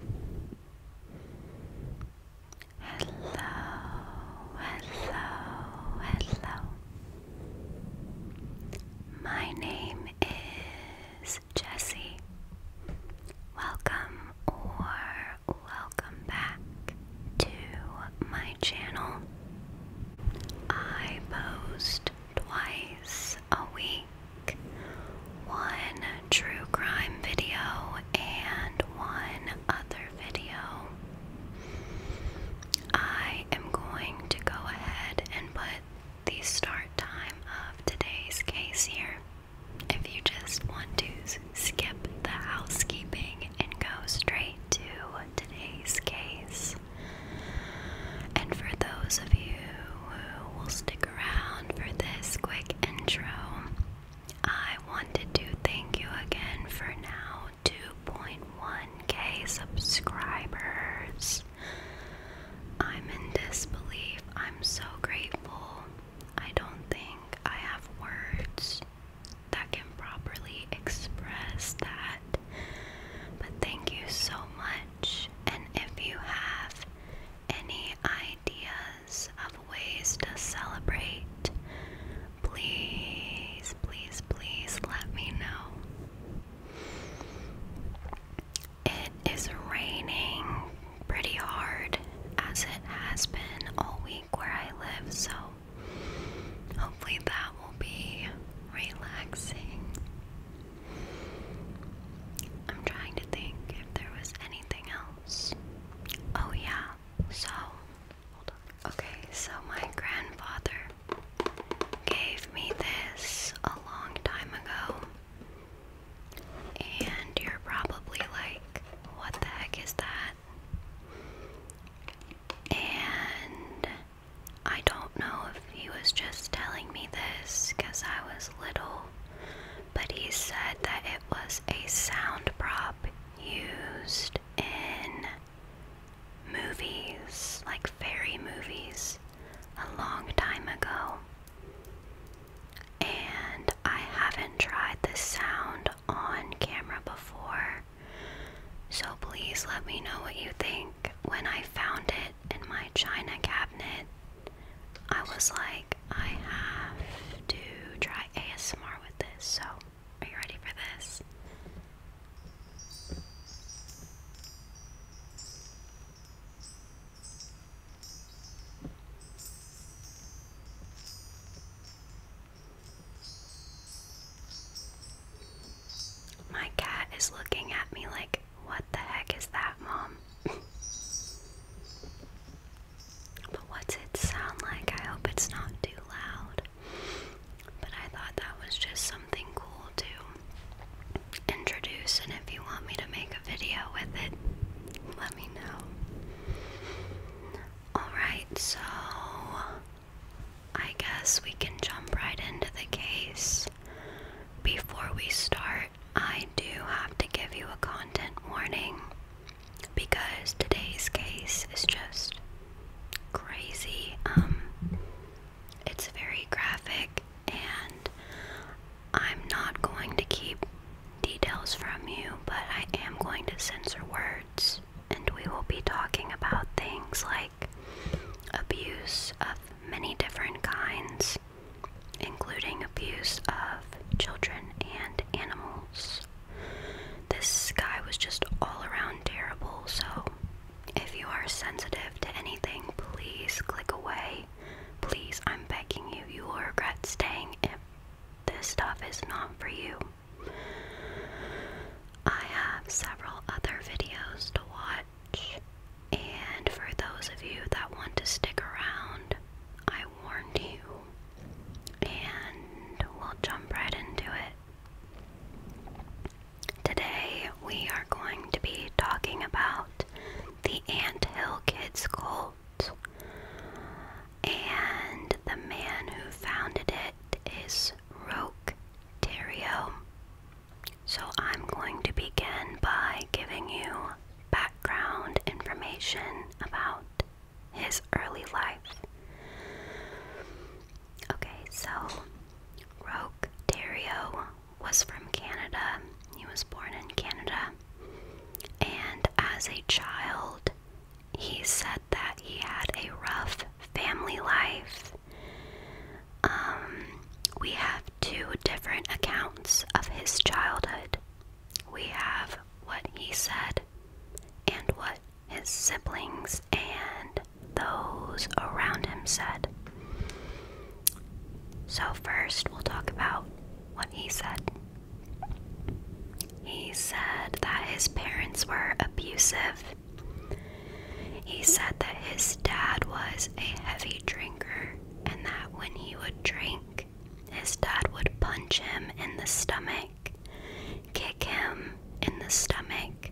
Hello, hello, hello. My name is Jessie. Welcome or welcome back to my channel. I post twice a week one true crime video and one other video. I am going to go ahead and put the start time of today's case here. If you just want to skip the housekeeping and go straight to today's case. And for those of you who will stick around, for this quick intro. I wanted to thank you again for now 2.1k subscribers. I'm in disbelief. I'm so grateful. I don't think I have words that can properly express that. But thank you so much. And if you have any ideas, of ways to celebrate, please, please, please let me know. It is raining pretty hard as it has been all week where I live, so hopefully that will be relaxing. I'm trying to think if there was anything Oh, yeah. So, Okay, so my grandfather gave me this a long time ago. And you're probably like, what the heck is that? And I don't know if he was just telling me this because I was little, but he said that it was a sound prop used in movies, like fairy movies, a long time ago. And I haven't tried this sound on camera before, so please let me know what you think when I found it in my china cabinet I was like, I have to try ASMR with this. So, are you ready for this? My cat is looking at me like, what the heck is that, Mom? But what's it sound like? I hope it's not too loud. But I thought that was just something cool to introduce, and if you want me to make a video with it, let me know. Alright, so I guess we can jump right into the case. Before we start, I do have to give you a content warning because today's case is just crazy. Um, it's very graphic, and I'm not going to keep details from you, but I am going to censor words, and we will be talking about things like abuse of many different kinds including abuse of children and animals. This guy was just all around terrible, so if you are sensitive to anything, please click away. Please, I'm begging you, you will regret staying if this stuff is not for you. I have several other videos to watch, and for those of you that want to stick around, I warned you and we'll jump right into it. Today, we are going to be talking about the Ant Hill Kids cult, and the man who founded it is Roque Terrio. So, I'm going to begin by giving you background information about his early life. Okay, so Roque Dario was from Canada. He was born in Canada. And as a child, he said that he had a rough family life. Um, we have two different accounts of his childhood we have what he said and what his siblings and those around him said. So, first, we'll talk about what he said. He said that his parents were abusive. He said that his dad was a heavy drinker and that when he would drink, his dad would punch him in the stomach, kick him in the stomach,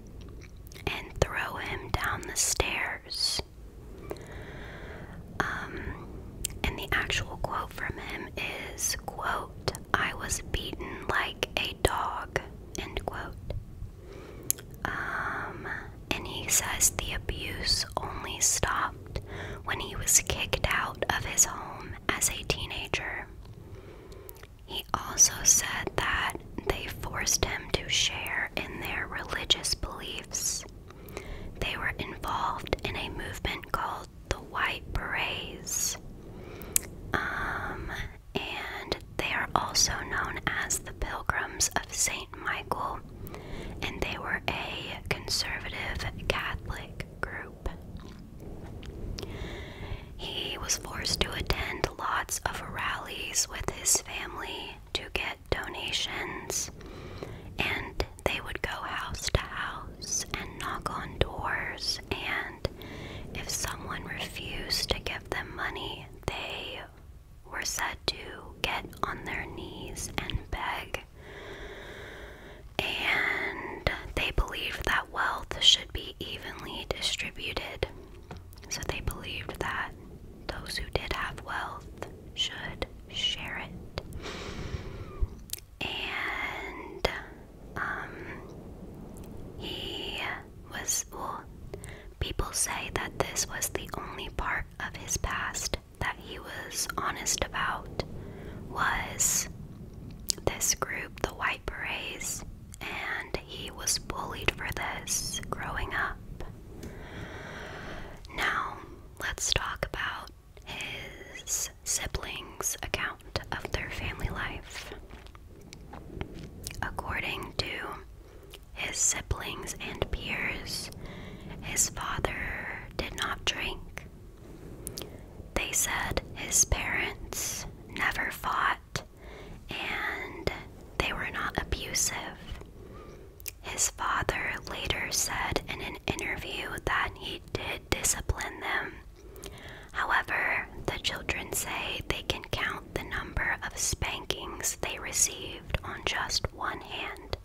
and throw him down the stairs. Um, and the actual quote from him is, quote, I was beaten like a dog, end quote. Um, and he says the abuse only stopped when he was kicked out of his home as a teenager. He also said that they forced him to share in their religious beliefs. They were involved in a movement called the White Berets, um, and they are also known as the Pilgrims of St. Michael, and they were a conservative Catholic group. He was forced to attend lots of rallies with his family to get donations, and they would go house to house and knock on doors. And if someone refused to give them money, they were said to get on their knees and beg and they believed that wealth should be evenly distributed. So they believed that those who did have wealth should share it. And um, he was, well, people say that this was the only part of his past that he was honest about was this group, the White Berets, and he was bullied for this growing up. Now, let's talk about his siblings' account of their family life. According to his siblings and peers, his father did not drink, they said his parents never fought and they were not abusive. His father later said in an interview that he did discipline them. However, the children say they can count the number of spankings they received on just one hand.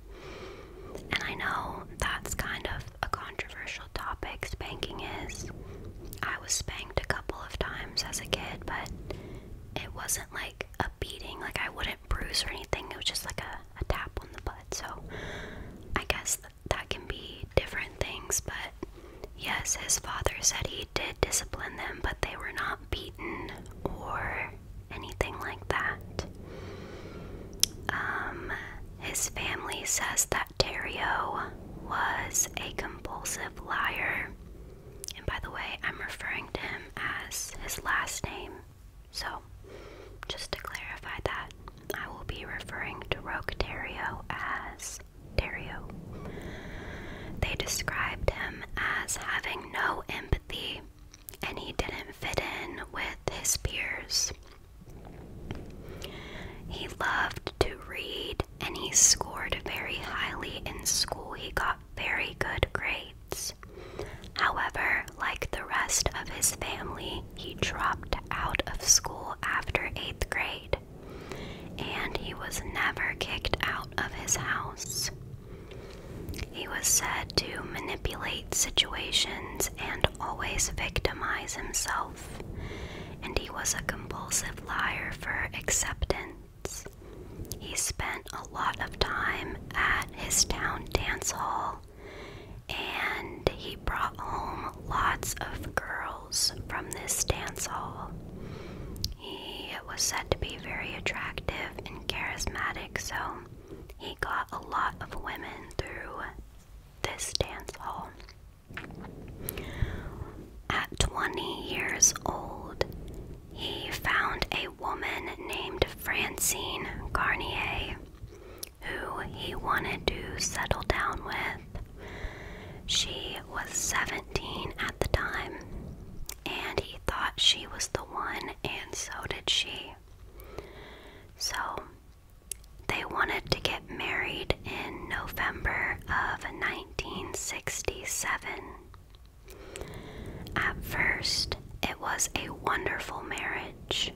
And I know that's kind of a controversial topic, spanking is. I was spanked a couple of times as a kid, but it wasn't like a beating. Like, I wouldn't bruise or anything. It was just like a, tap on the butt. So, I guess that can be different things. But yes, his father said he did discipline them, but they were not beaten or anything like that. Um, his family says that. Lapterio was a compulsive liar. And by the way, I'm referring to him as his last name. So, just to clarify that, I will be referring to Roque Rocaterio as Dario. They described him as having no empathy and he didn't fit in with his peers. He loved to read and he scored very highly in school. He got very good grades. However, like the rest of his family, he dropped out of school after 8th grade and he was never kicked out of his house. He was said to manipulate situations and always victimize himself and he was a compulsive liar for acceptance. He spent a lot of time at his town dance hall, and he brought home lots of girls from this dance hall. He was said to be very attractive and charismatic, so he got a lot of women through this dance hall. At 20 years old, he found a woman named Francine Garnier who he wanted to settle down with. She was 17 at the time, and he thought she was the one, and so did she. So they wanted to get married in November of 1967. At first, it was a wonderful marriage.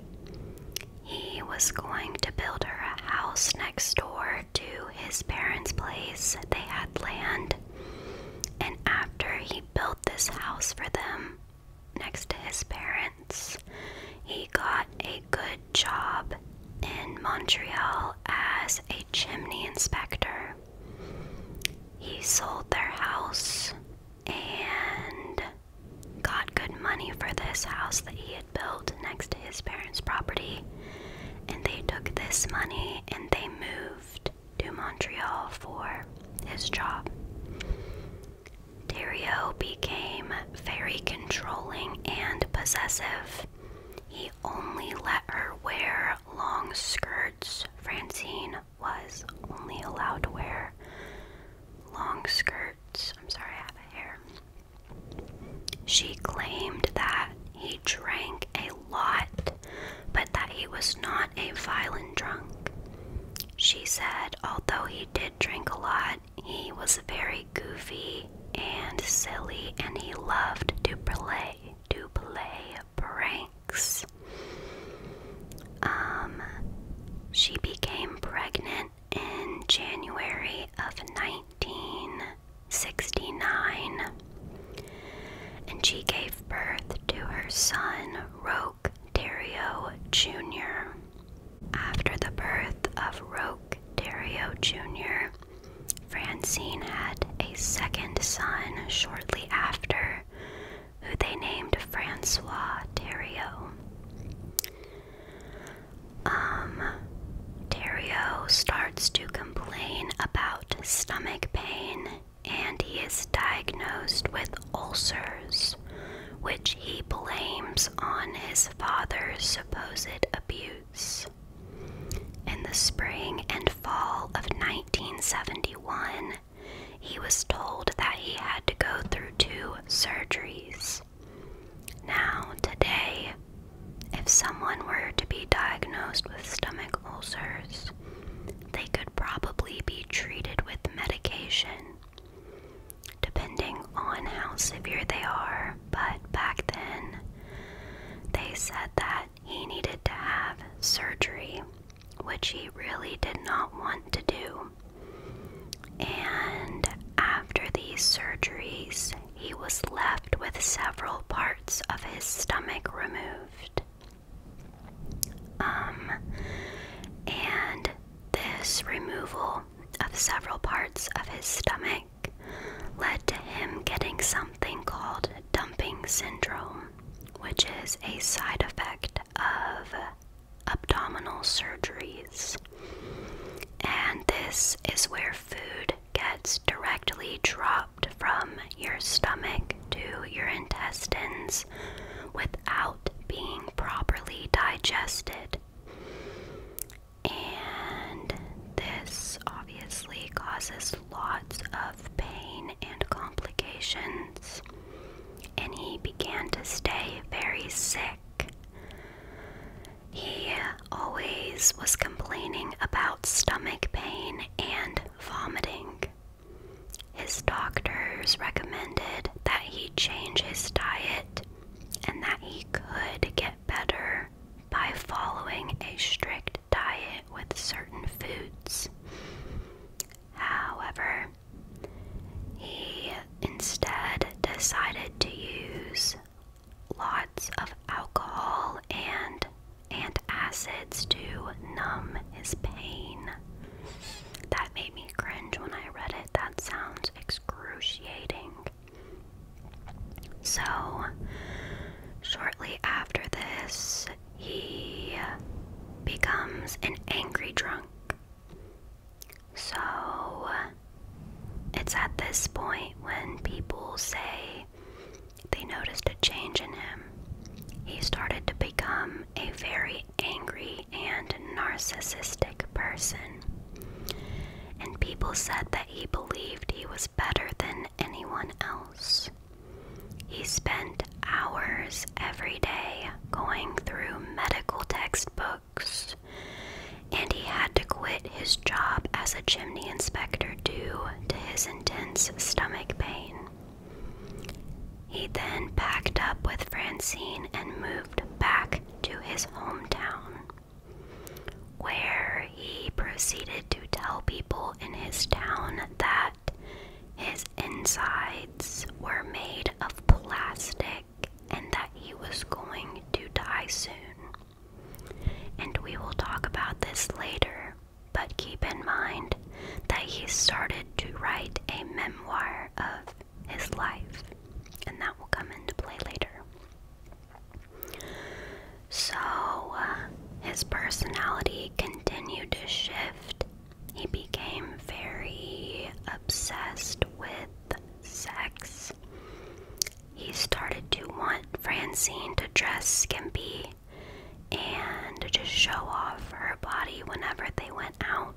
He was going to build her a house next door to his parents' place. They had land. And after he built this house for them next to his parents, he got a good job in Montreal as a chimney inspector. He sold their house and got good money for this house that he had built next to his parents' property. And they took this money and they moved to Montreal for his job. Dario became very controlling and possessive. He only let her wear long skirts. Francine was only allowed to wear long skirts. I'm sorry, I have a hair. She claimed that he drank a lot, but that he was not a violent drunk. She said, although he did drink a lot, he was very goofy and silly, and he loved to play to play pranks. Um, she became pregnant in January of 1969, and she gave birth to her son, Roque Terrio Jr. After the birth of Roque Dario Jr., Francine had a second son shortly after, who they named Francois Dario. Um, Dario starts to complain about stomach pain and he is diagnosed with ulcers, which he blames on his father's supposed abuse. In the spring and fall of 1971, he was told that he had to go through two surgeries. Now, today, if someone were to be diagnosed with stomach ulcers, they could probably be treated with medication depending on how severe they are. But back then, they said that he needed to have surgery, which he really did not want to do. And after these surgeries, he was left with several parts of his stomach removed. Um, and this removal of several parts of his stomach led to him getting something called dumping syndrome, which is a side effect of abdominal surgeries. And this is where food gets directly dropped from your stomach to your intestines without being properly digested. And this obviously causes lots of pain and complications. And he began to stay very sick. He always was complaining about stomach pain and vomiting. His doctors recommended that he change his diet and that he could get better by following a strict diet with certain foods. However, he instead decided to use lots of alcohol and antacids to numb his pain. That made me cringe when I read it. That sounds excruciating. So, shortly after this, he becomes an angry drunk. So, it's at this point when people say they noticed a change in him. He started to become a very angry and narcissistic person. And people said that he believed he was better than anyone else. He spent hours every day going through medical textbooks, and he had to quit his job as a chimney inspector due to his intense stomach pain. He then packed up with Francine and moved back to his hometown where he proceeded to tell people in his town that his insides were made of plastic and that he was going to die soon. And we will talk about this later, but keep in mind that he started to write a memoir of his life, and that will come into play later. So uh, his personality continued to shift. He became very obsessed with sex. He started to want Francine to dress skimpy and to just show off her body whenever they went out.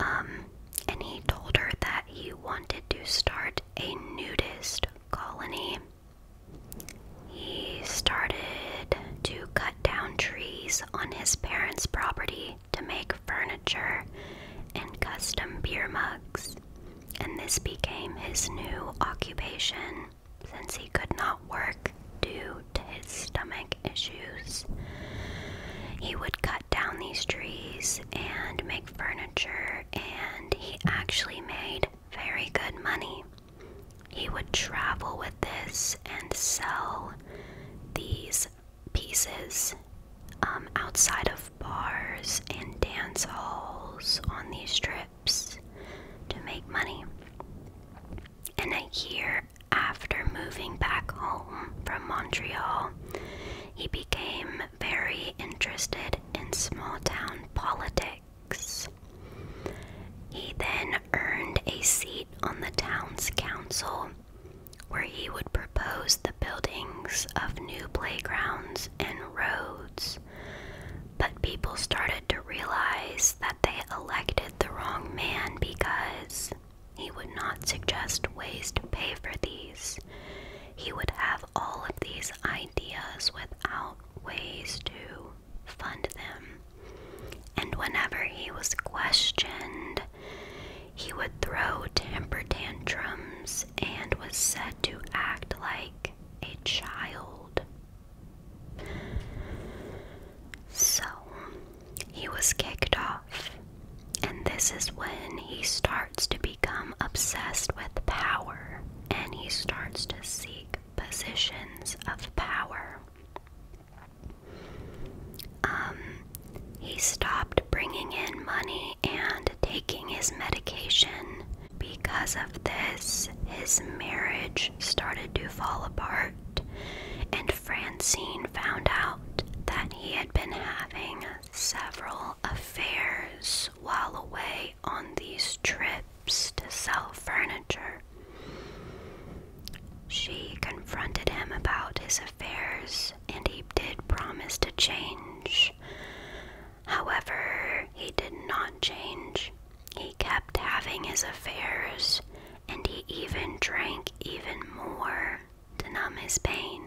Um, and he told her that he wanted to start a nudist colony. He started to cut down trees on his parents' property to make furniture and custom beer mugs, and this became his new occupation since he could not work due to his stomach issues. He would cut down these trees and make furniture and he actually made very good money. He would travel with this and sell these pieces um, outside of bars and dance halls on these trips to make money. And a year after moving back home from Montreal, he became very interested in small town politics. He then earned a seat on the town's council, where he would propose the buildings of new playgrounds and roads. But people started to realize that they elected the wrong man because he would not suggest ways to pay for these. He would have all of these ideas without ways to fund them. And whenever he was questioned, he would throw temper tantrums and was said to act like a child. So he was kicked off and this is when he starts to become obsessed with power and he starts to seek positions of power. Um, he stopped bringing in money and taking his medication. Because of this, his marriage started to fall apart, and Francine found out that he had been having several affairs while away on these trips to sell furniture. She confronted him about his affairs, and he did promise to change. However, he did not change. He kept having his affairs, and he even drank even more to numb his pain.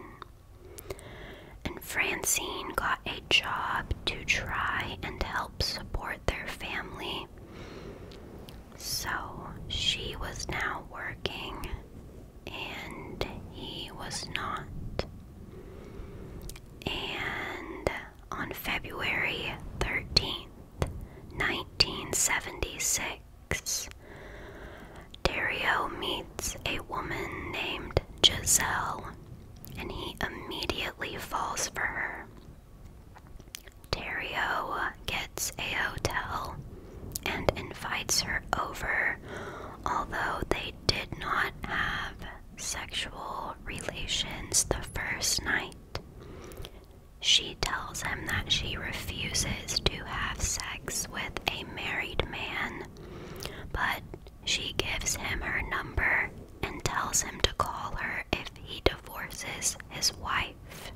And Francine got a job to try and help support their family. So she was now working, and he was not. And on February 13th, 1976, Dario meets meets a woman named Giselle, and he immediately falls for her. Terrio gets a hotel and invites her over, although they did not have sexual relations the first night. She tells him that she refuses to have sex with a married man, but she gives him her number and tells him to call her if he divorces his wife.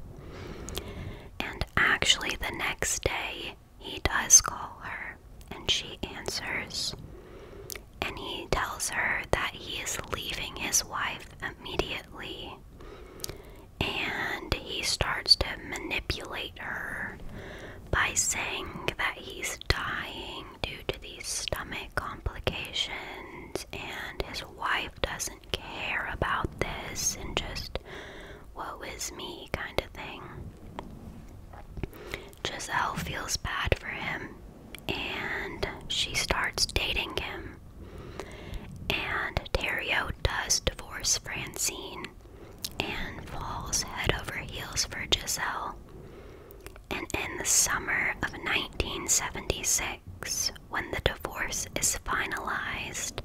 And actually, the next day, he does call her and she answers. And he tells her that he is leaving his wife immediately. And he starts to manipulate her by saying that he's dying due to these stomach complications and his wife doesn't care about this and just woe is me kind of thing. Giselle feels bad for him and she starts dating him. And Dario does divorce Francine and falls head over heels for Giselle. And in the summer of 1976, when the divorce is finalized,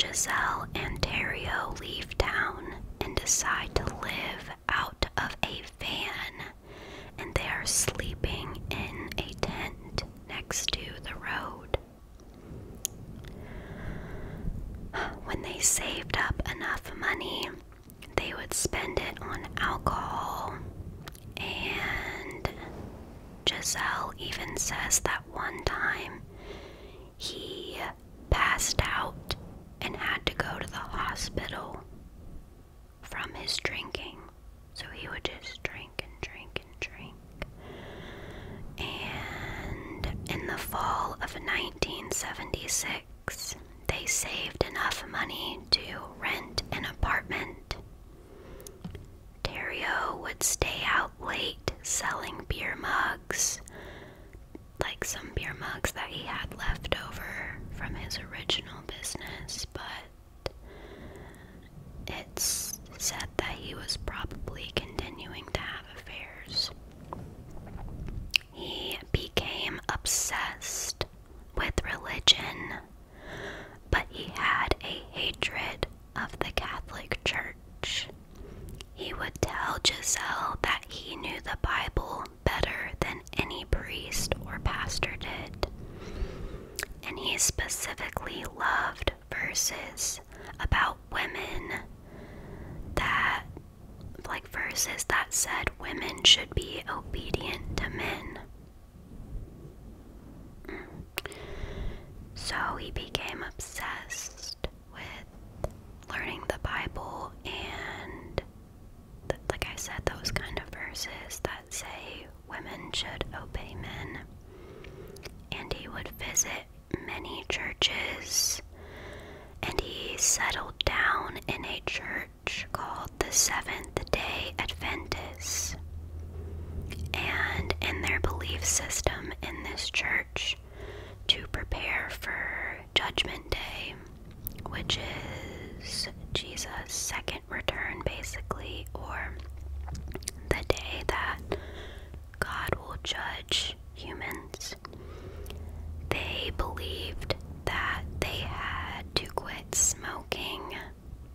Giselle and Terrio leave town and decide to live out of a van, and they are sleeping in a tent next to the road. When they saved up enough money, they would spend it on alcohol. And Giselle even says that one time he passed out and had to go to the hospital from his drinking. So he would just drink and drink and drink. And in the fall of 1976, they saved enough money to rent an apartment. Dario would stay out late selling beer mugs, like some beer mugs that he had left over from his original business, but it's said that he was probably continuing to have affairs. He became obsessed with religion, but he had a hatred of the Catholic Church. He would tell Giselle that he knew the Bible better than any priest or pastor did. And he specifically loved verses about women that like verses that said women should be obedient to men. Mm. So he became obsessed with learning the Bible and like I said those kind of verses that say women should obey men. And he would visit many churches and he settled down in a church called the Seventh day Adventists. And in their belief system in this church, to prepare for Judgment Day, which is Jesus' second return, basically, or the day that God will judge humans. They believed that they had to quit smoking,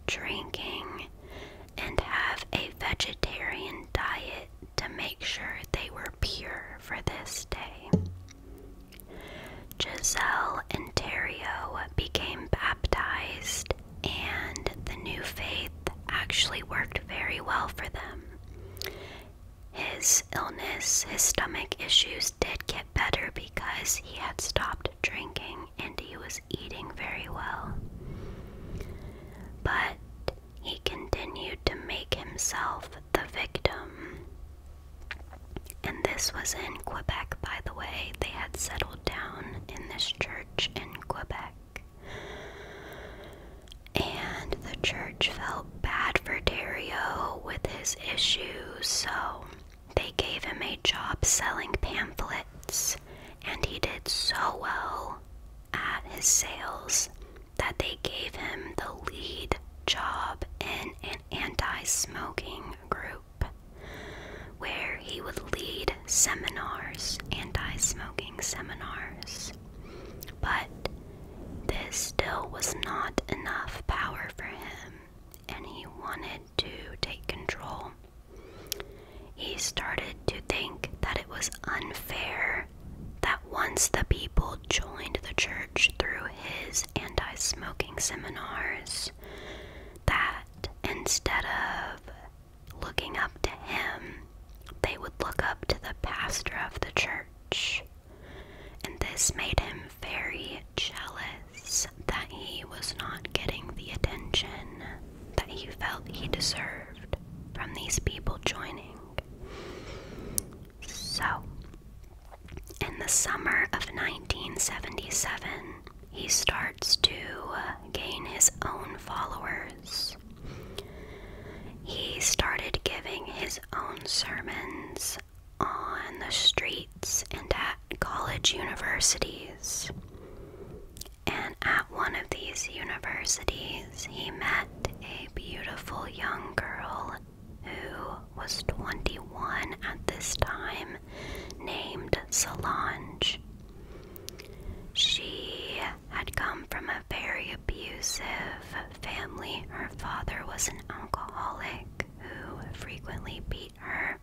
drinking, and have a vegetarian diet to make sure they were pure for this day. Giselle and Terrio became baptized, and the new faith actually worked very well for them. His illness, his stomach issues did get better because he had stopped drinking and he was eating very well. But he continued to make himself the victim. And this was in Quebec, by the way. They had settled down in this church in Quebec. And the church felt bad for Dario with his issues, so they gave him a job selling pamphlets, and he did so well at his sales that they gave him the lead job in an anti smoking group where he would lead seminars, anti smoking seminars. But this still was not enough power for him, and he wanted to take control. He started to think that it was unfair that once the people joined the church through his anti smoking seminars, that instead of looking up to him, they would look up to the pastor of the church and this made him very jealous that he was not getting the attention that he felt he deserved from these people joining. So, in the summer of 1977, he starts to uh, gain his own followers. He started giving his own sermons was on the streets and at college universities. And at one of these universities, he met a beautiful young girl who was 21 at this time, named Solange. She had come from a very abusive family. Her father was an alcoholic, who frequently beat her,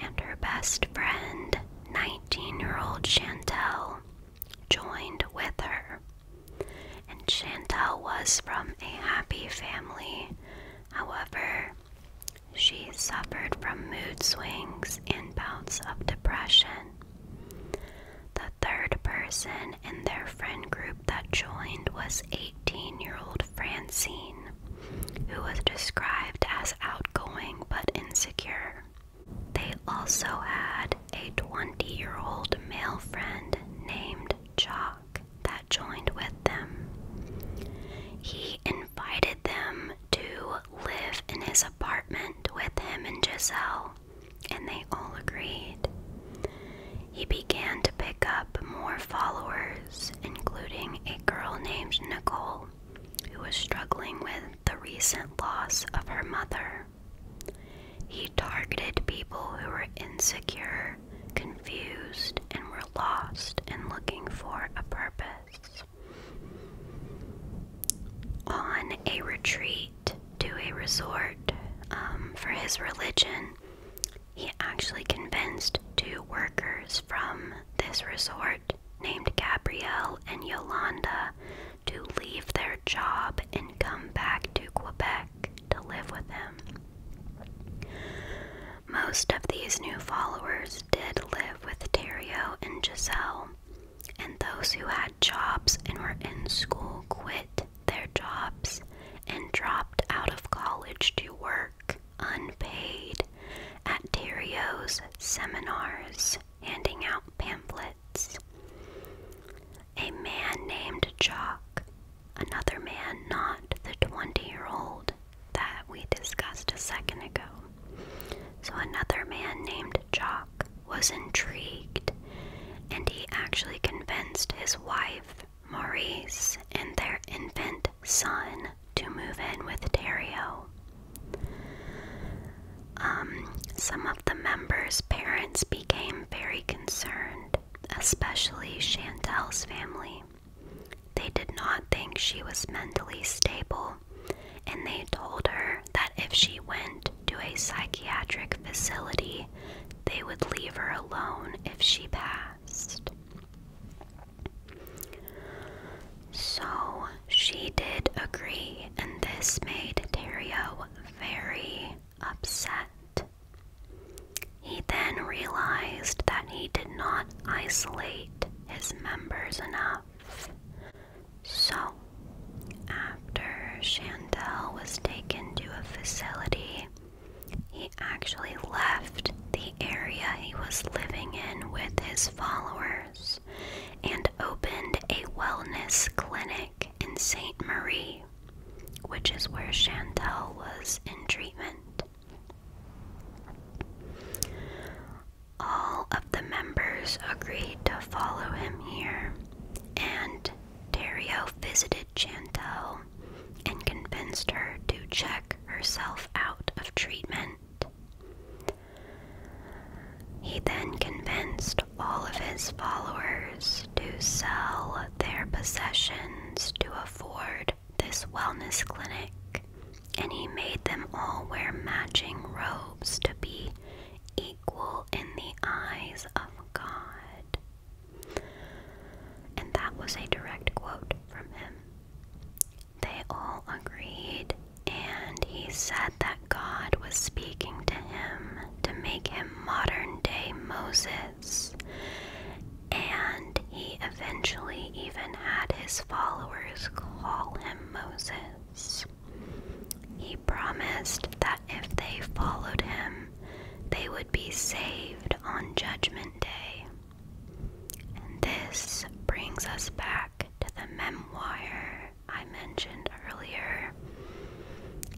and her best friend, 19 year old Chantel, joined with her. And Chantel was from a happy family. However, she suffered from mood swings and bouts of depression. The third person in their friend group that joined was 18 year old Francine, who was described as outgoing but insecure. They also had a 20 year old male friend named Jock that joined with them. He invited them to live in his apartment with him and Giselle, and they all agreed. He began to pick up more followers, including a girl named Nicole, who was struggling with the recent loss of her mother. He targeted people who were insecure, confused, and were lost and looking for a purpose. On a retreat to a resort um, for his religion, he actually convinced two workers from this resort named Gabrielle and Yolanda to leave their job and come back to Quebec to live with him. Most of these new followers did live with Terrio and Giselle, and those who had jobs and were in school quit their jobs and dropped out of college to work unpaid at Dario's seminars, handing out pamphlets. A man named Jock, another man, not the 20 year old that we discussed a second ago. So, another man named Jock was intrigued and he actually convinced his wife Maurice and their infant son to move in with Dario. Um, some of the members' parents became very concerned, especially Chantelle's family. They did not think she was mentally stable, and they told her that if she went to a psychiatric facility, they would leave her alone if she passed. So she did agree, and this made Terrio very upset. He then realized that he did not isolate his members enough. So, after Chandel was taken to a facility he actually left the area he was living in with his followers and opened a wellness clinic in St. Marie, which is where Chantel was in treatment. All of the members agreed to follow him here, and Dario visited Chantel and convinced her to check herself out of treatment. He then convinced all of his followers to sell their possessions to afford this wellness clinic, and he made them all wear matching robes to be equal in the eyes of God. And that was a direct quote from him. They all agreed, and he said that God was speaking to him to make him modern day Moses. And he eventually even had his followers call him Moses. He promised that if they followed him, they would be saved on Judgment Day. And this brings us back to the memoir I mentioned earlier.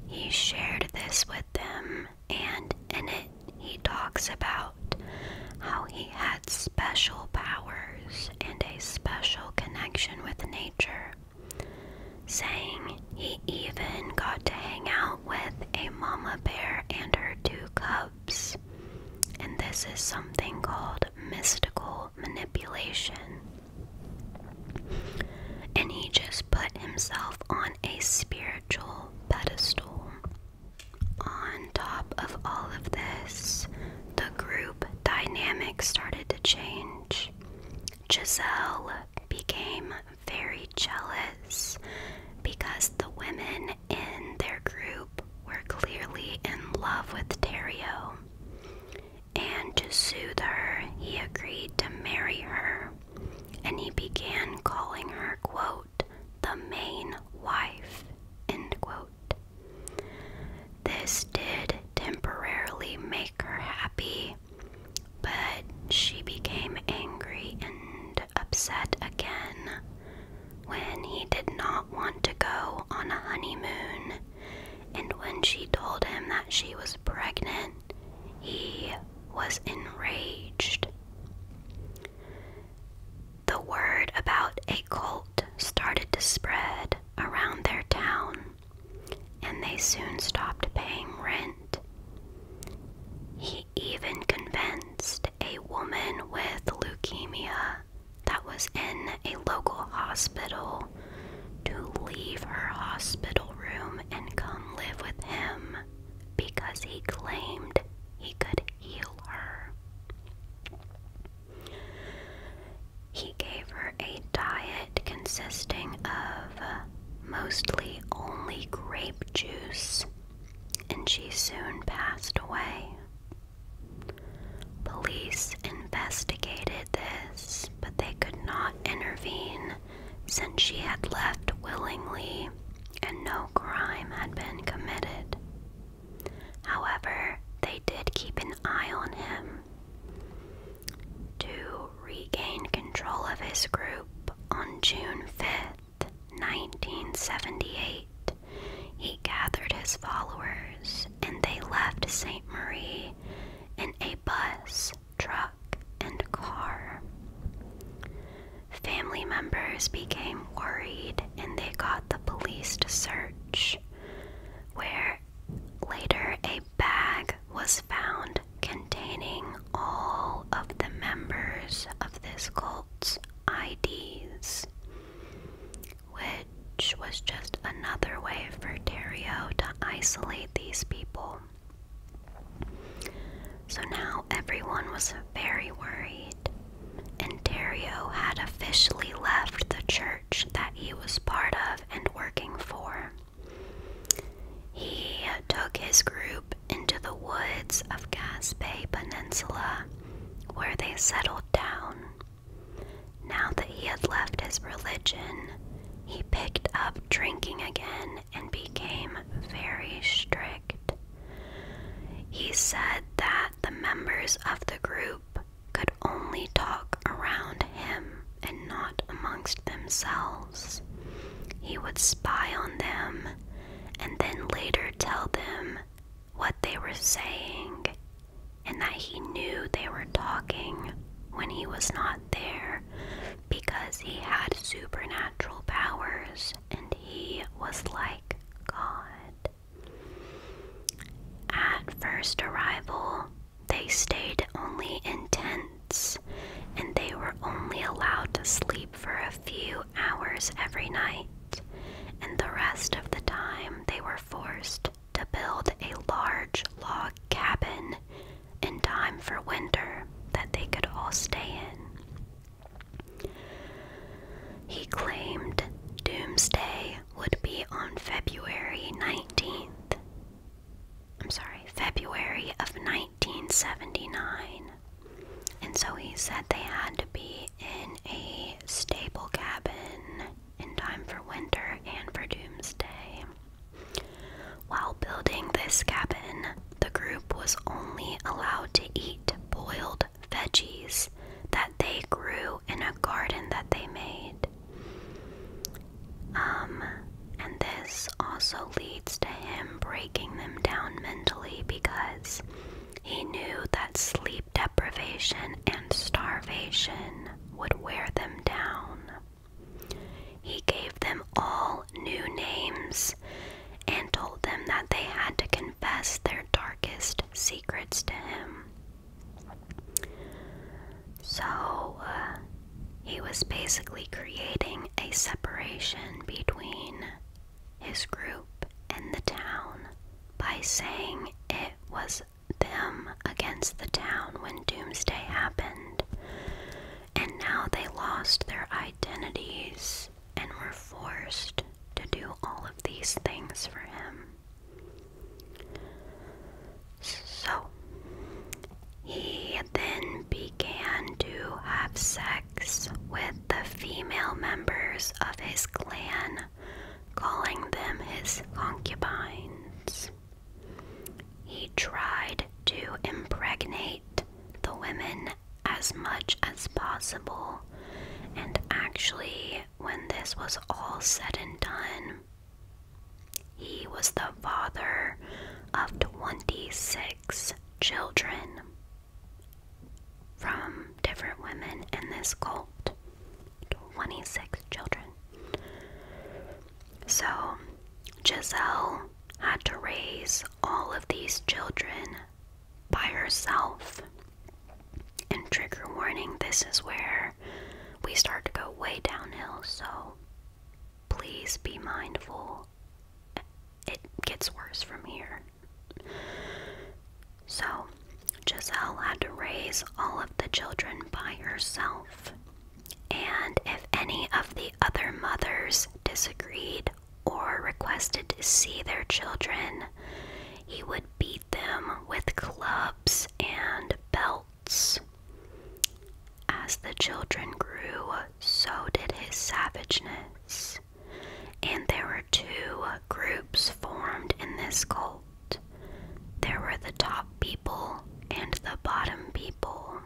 He shared this with them, and in it, he talks about how he had special powers and a special connection with nature, saying he even got to hang out with a mama bear and her two cubs. And this is something called mystical manipulation. And he just put himself on a spiritual pedestal. On top of all of this, the group dynamic started to change. Giselle became very jealous because the women in their group were clearly in love with Terrio. And to soothe her, he agreed to marry her, and he began calling her, quote, the main wife, end quote. This did temporarily make her happy, but she became angry and upset again when he did not want to go on a honeymoon, and when she told him that she was pregnant, he was enraged. The word about a cult started to spread around their town, and they soon stopped paying rent. He even convinced a woman with leukemia that was in a local hospital to leave her hospital room and come live with him because he claimed he could heal her. He gave her a diet consisting of mostly only grape juice and she soon passed away. Police investigated this, but they could not intervene since she had left willingly and no crime had been committed. However, they did keep an eye on him. To regain control of his group on June 5th, 1978, he gathered his followers and they left St. Marie in a bus, truck, and car. Family members became worried and they got the police to search, where later a bag was found containing all of the members of this cult's IDs, which was just another way for Dario to isolate these people. So now everyone was very worried, and Terrio had officially left the church that he was part of and working for. He took his group into the woods of Gaspe Peninsula, where they settled down. Now that he had left his religion, he picked up drinking again and became very strict. He said that the members of the group could only talk around him and not amongst themselves. He would spy on them and then later tell them what they were saying and that he knew they were talking when he was not there because he had supernatural powers and he was like God. At first arrival, they stayed only in tents and they were only allowed to sleep for a few hours every night and the rest of the time they were forced to build a large log cabin in time for winter that they could all stay in. He claimed doomsday would be on February 19th. I'm sorry, February of 1979. And so he said they had to be in a stable cabin in time for winter and for doomsday. While building this cabin, the group was only allowed to eat boiled veggies that they grew in a garden that they made. Um, and this also leads to him breaking them down mentally because he knew that sleep deprivation and starvation would wear them down. He gave them all new names and told them that they had to confess their darkest secrets to him. So, uh, he was basically creating a separation between his group in the town by saying it was them against the town when Doomsday happened, and now they lost their identities and were forced to do all of these things for him. So, he then began to have sex with the female members of his clan, calling them his concubines. He tried to impregnate the women as much as possible, and actually, when this was all said and done, he was the father of 26 children from different women in this cult 26 children. So Giselle had to raise all of these children by herself. And trigger warning this is where we start to go way downhill, so please be mindful. It gets worse from here. So, Giselle had to raise all of the children by herself. And if any of the other mothers disagreed or requested to see their children, he would beat them with clubs and belts. As the children grew, so did his savageness and there were two groups formed in this cult there were the top people and the bottom people.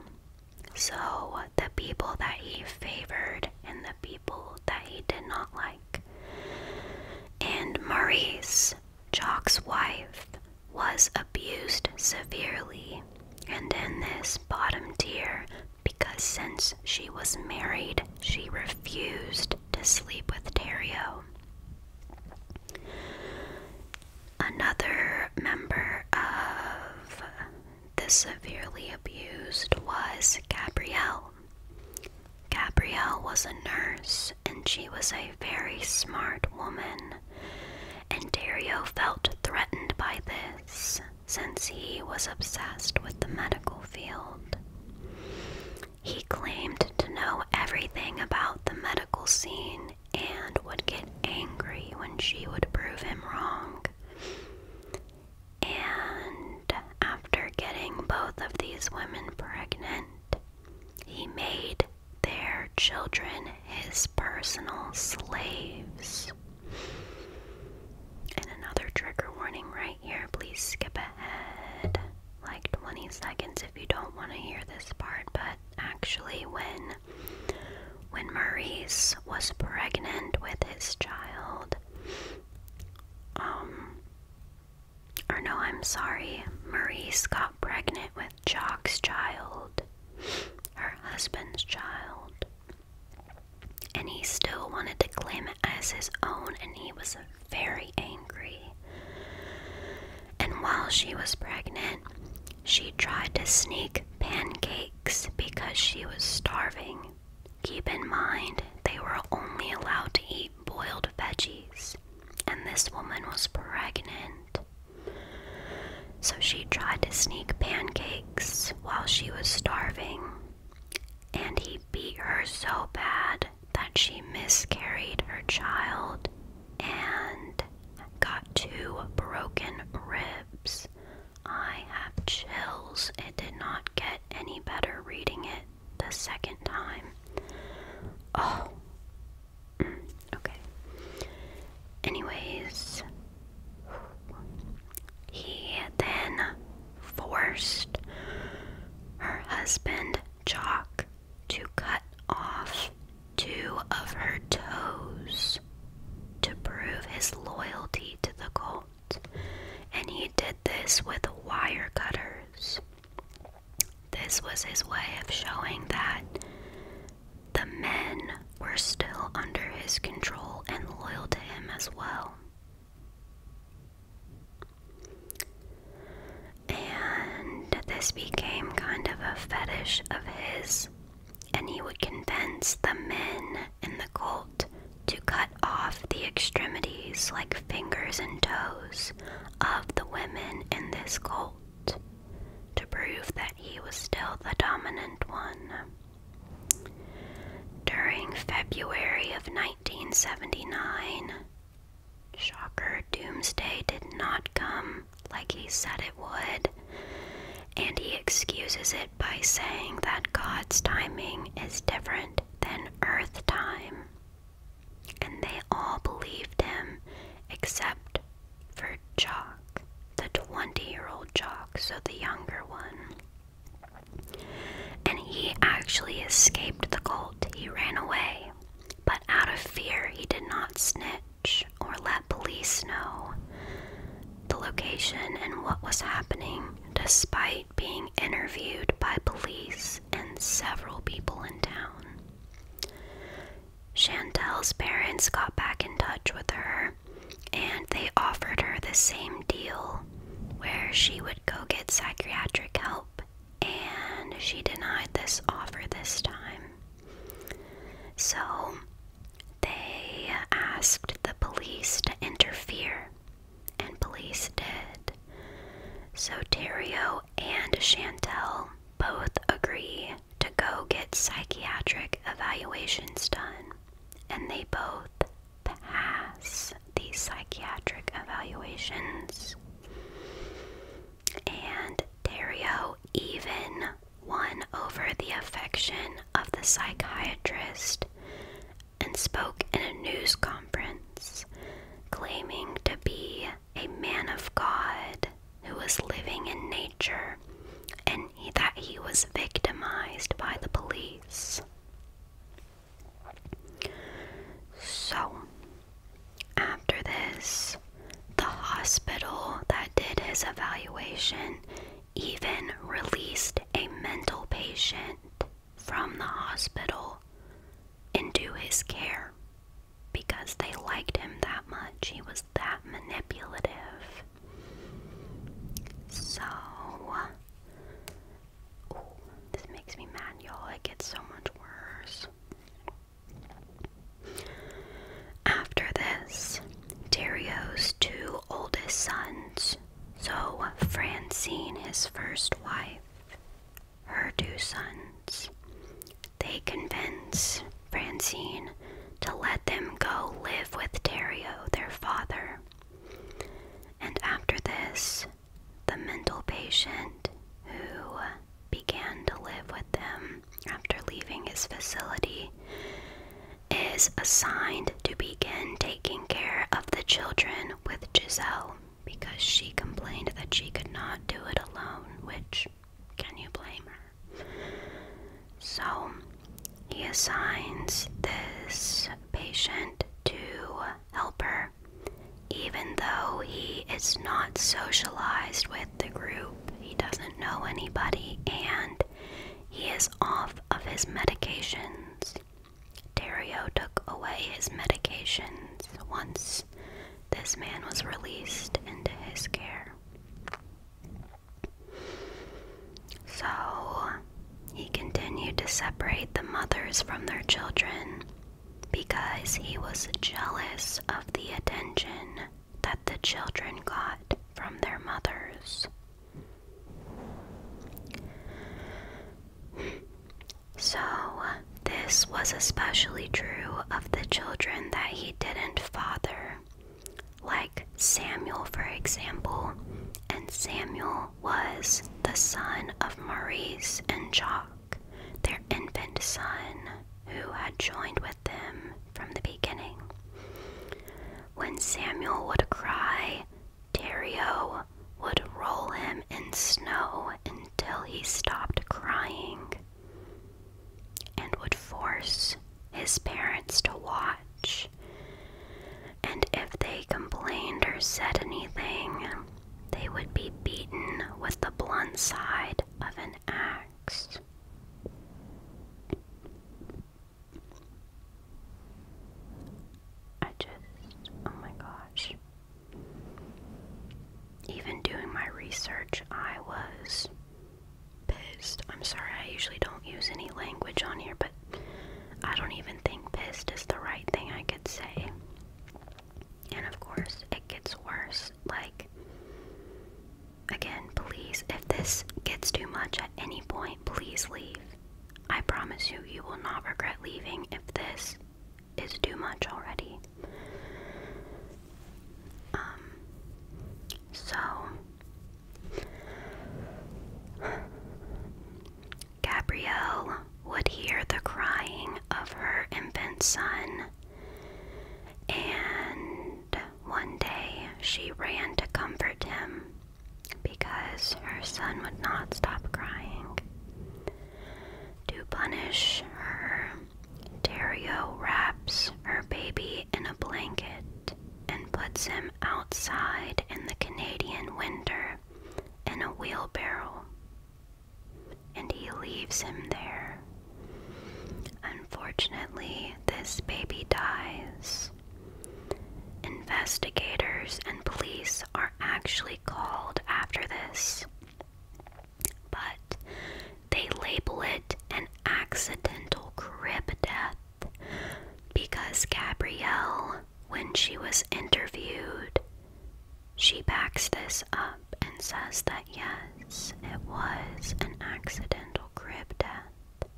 So, the people that he favored and the people that he did not like. And Maurice, Jock's wife, was abused severely, and in this bottom tier, because since she was married, she refused to sleep with Dario. Another member of the severely abused was Gabrielle. Gabrielle was a nurse and she was a very smart woman, and Dario felt threatened by this since he was obsessed with the medical field. He claimed to know everything about the medical scene and would get angry when she would prove him wrong. And after getting both of these women pregnant, he made their children his personal slaves. And another trigger warning right here. Please skip like 20 seconds if you don't want to hear this part, but actually when when Maurice was pregnant with his child um or no, I'm sorry. Maurice got pregnant with Jock's child, her husband's child and he still wanted to claim it as his own, and he was very angry. And while she was pregnant, she tried to sneak pancakes because she was starving. Keep in mind, they were only allowed to eat boiled veggies, and this woman was pregnant. So she tried to sneak pancakes while she was starving, and he beat her so bad that she miscarried her child and got two broken ribs. I have chills. It did not get any better reading it the second time. Oh. Mm, okay. Anyways, he then forced her husband Jock to cut off two of her toes to prove his loyalty to the cult, and he did this with wire cutters. This was his way of showing that the men were still under his control and loyal to him as well. And this became kind of a fetish of his, and he would convince the men in the cult to cut off the extremities, like fingers and toes, of the women in this cult to prove that he was still the dominant one. During February of 1979. Shocker, Doomsday did not come like he said it would, and he excuses it by saying that God's timing is different than Earth time. And they all believed him except for Jock, the 20 year old Jock, so the younger one. And he actually escaped the cult. He ran away, but out of fear, he did not snitch or let police know the location and what was happening, despite being interviewed by police and several people in town. Chantelle's parents got back in touch with her and they offered her the same deal where she would go get psychiatric help and she denied this offer this time. So they asked the police to interfere, and police did. So Terio and Chantel both agree to go get psychiatric evaluations done, and they both pass these psychiatric evaluations. And Dario even won over the affection of the psychiatrist and spoke in a news conference claiming to be a man of God who was living in nature and he, that he was victimized by the police. So, after this, the hospital that did his evaluation even released a mental patient from the hospital into his care because they liked him that much. He was that manipulative. So, this makes me mad, y'all. It gets so much worse. After this, Dario's two oldest sons, so Francine, his first wife, her two sons, they convince Francine to let them go live with Dario, their father. And after this, the mental patient who began to live with them after leaving his facility is assigned to begin taking care of the children with Giselle because she complained that she could not do it alone, which can you blame her? So he assigns this patient to help her even though he is not socialized with the group, he doesn't know anybody, and he is off of his medications. Dario took away his medications once this man was released into his care. So he continued to separate the mothers from their children because he was jealous of the attention that the children got from their mothers. So, this was especially true of the children that he didn't father, like Samuel, for example, and Samuel was the son of Maurice and Jock their infant son, who had joined with them from the beginning. When Samuel would cry, Dario would roll him in snow until he stopped crying and would force his parents to watch. And if they complained or said anything, they would be beaten with the blunt side of an axe. I just, oh my gosh. Even doing my research, I was pissed. I'm sorry, I usually don't use any language on here, but I don't even think pissed is the right thing I could say. And of course, it gets worse. Like, again, please, if this gets too much at any point, please leave. I promise you, you will not regret leaving if this is too much already. Um, so, Gabrielle would hear the crying of her infant son. And one day she ran to comfort him because her son would not stop crying. To punish her, Dario wraps her baby in a blanket and puts him outside in the Canadian winter in a wheelbarrow and he leaves him there. Unfortunately, this baby dies. Investigators and police are actually called after this, but they label it an accidental crib death because Gabrielle, when she was interviewed, she backs this up and says that yes, it was an accidental crib death.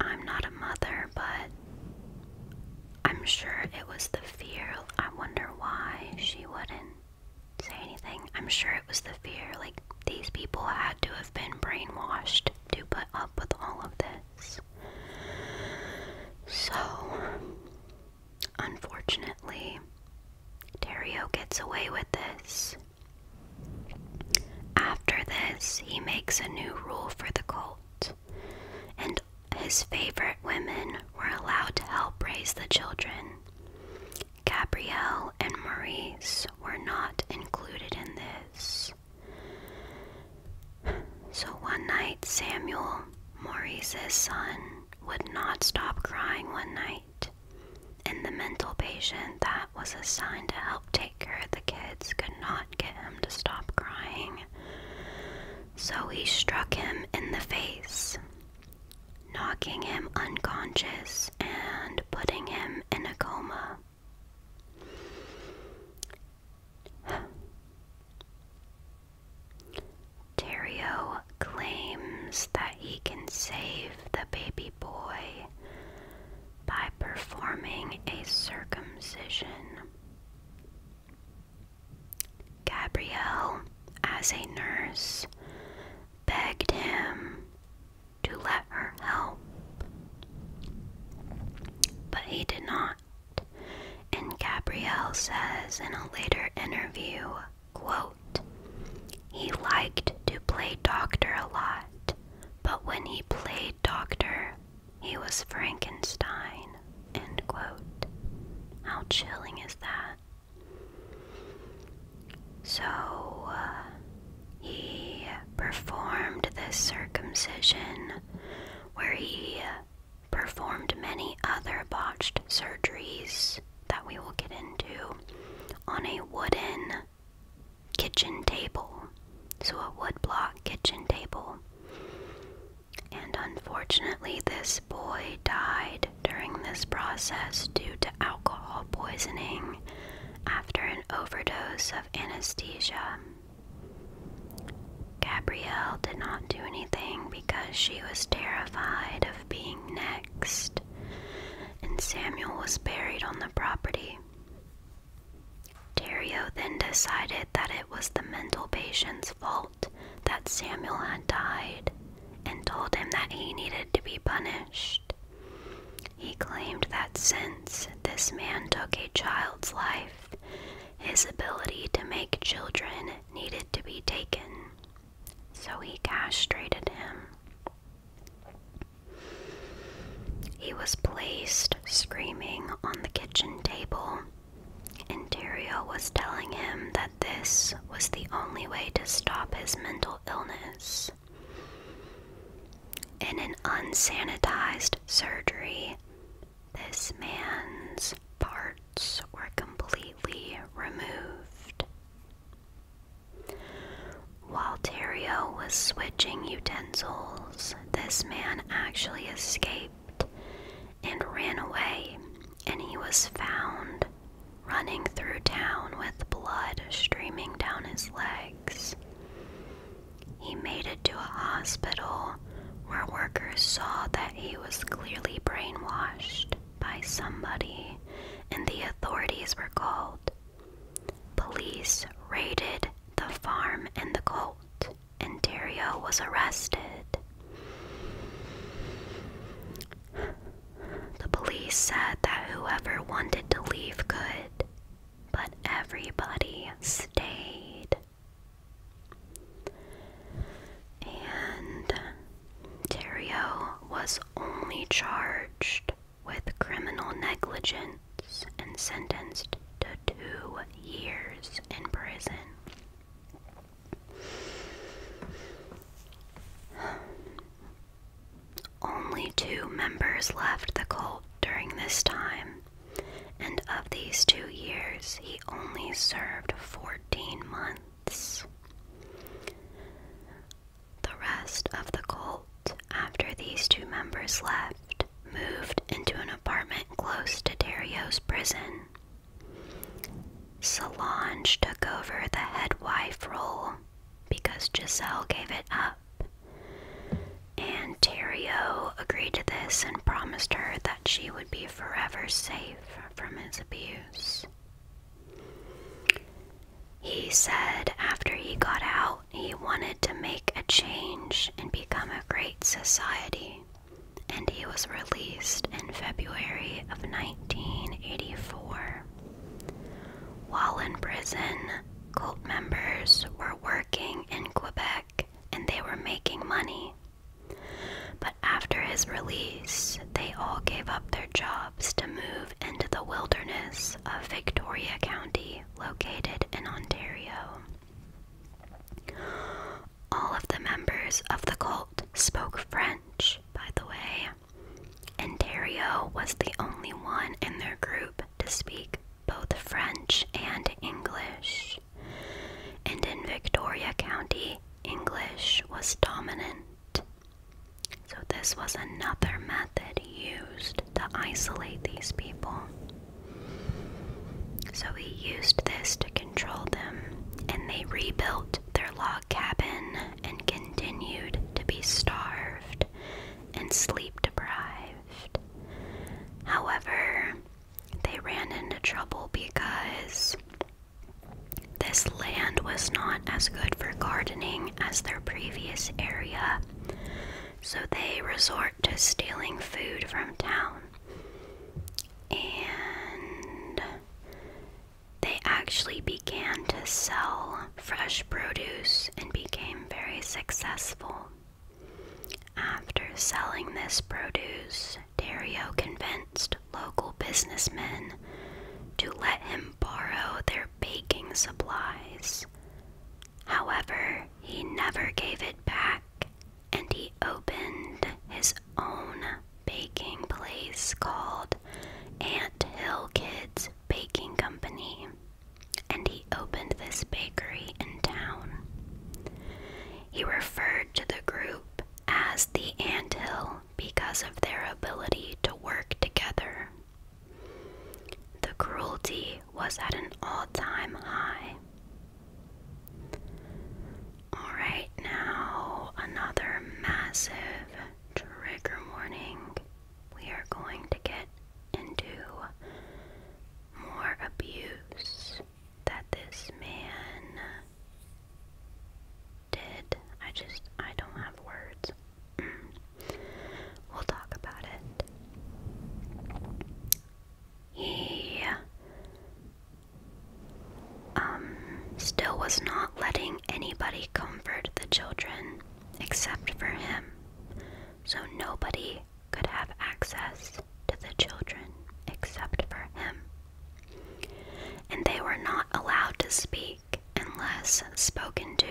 I'm not a mother, but I'm sure it was the fear. I wonder why she wouldn't say anything. I'm sure it was the fear. Like, these people had to have been brainwashed to put up with all of this. So, unfortunately, Dario gets away with this. After this, he makes a new rule for the cult, and his favorite women were allowed to help raise the children. Gabrielle and Maurice were not included in this. So one night, Samuel, Maurice's son, would not stop crying one night, and the mental patient that was assigned to help take care of the kids could not get him to stop crying. So he struck him in the face, knocking him unconscious and putting him in a coma. Terrio claims that he can save the baby boy by performing a circumcision. Gabrielle, as a nurse, begged him to let her help, but he did not. And Gabrielle says in a later interview, quote, he liked to play doctor a lot, but when he played doctor, he was Frankenstein, end quote. How chilling is that? So uh, he performed this circumcision where he performed many other botched surgeries that we will get into on a wooden kitchen table. So, a woodblock kitchen table. And unfortunately, this boy died during this process due to alcohol poisoning after an overdose of anesthesia. Gabrielle did not do anything because she was terrified of being next, and Samuel was buried on the property. Terio then decided that it was the mental patient's fault that Samuel had died and told him that he needed to be punished. He claimed that since this man took a child's life, his ability to make children needed to be taken, so he castrated him. He was placed screaming on the kitchen table. Interior was telling him that this was the only way to stop his mental illness. In an unsanitized surgery, this man's parts were completely removed. While Terrio was switching utensils, this man actually escaped and ran away, and he was found running through town with blood streaming down his legs. He made it to a hospital where workers saw that he was clearly brainwashed by somebody, and the authorities were called. Police raided the farm and the cult, and Dario was arrested. The police said that whoever wanted to leave could, but everybody stayed. And Terrio was only charged with criminal negligence and sentenced to two years in prison. Only two members left the cult during this time, and of these two years, he only served 14 14 months. The rest of the cult, after these two members left, moved into an apartment close to Dario's prison. Solange took over the head wife role because Giselle gave it up. And Terrio agreed to this and promised her that she would be forever safe from his abuse. He said after he got out, he wanted to make a change and become a great society, and he was released in February of 1984. While in prison, cult members were working in Quebec and they were making money. But after his release, they all gave up their jobs to move into the wilderness of Victoria County, located in Ontario. All of the members of the cult spoke French, by the way. Ontario was the only one in their group to speak both French and English and in Victoria County, English was dominant. So, this was another method used to isolate these people. So, he used this to control them, and they rebuilt their log cabin and continued to be starved and sleep deprived. However, they ran into trouble because this land was not as good for gardening as their previous area, so they resort to stealing food from town. And they actually began to sell fresh produce and became very successful. After selling this produce, Dario convinced local businessmen to let him borrow their baking supplies. However, he never gave it back and he opened his own baking place called Ant Hill Kids Baking Company. And he opened this bakery in town. He referred to the group as the anthill because of their ability to work together. The cruelty was at an all time high. Alright, now another massive trigger warning. We are going to get into more abuse that this man did. I just, I don't have words. we'll talk about it. He um, still was not letting anybody comfort the children except for him, so nobody could have access to the children except for him and they were not allowed to speak unless spoken to.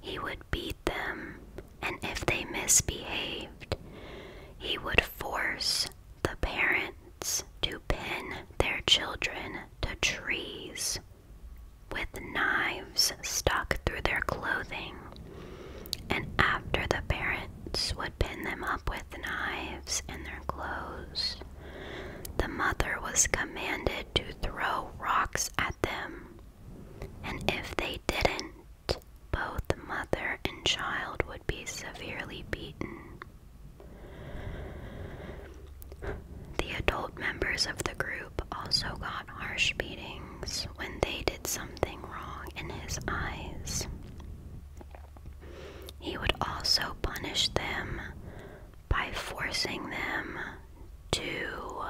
He would beat them, and if they misbehaved, he would force the parents to pin their children to trees with knives stuck through their clothing. And after the parents would pin them up with knives and their clothes. The mother was commanded to throw rocks at them, and if they didn't, both mother and child would be severely beaten. The adult members of the group also got harsh beatings when they did something wrong in his eyes. He would also punish them by forcing them to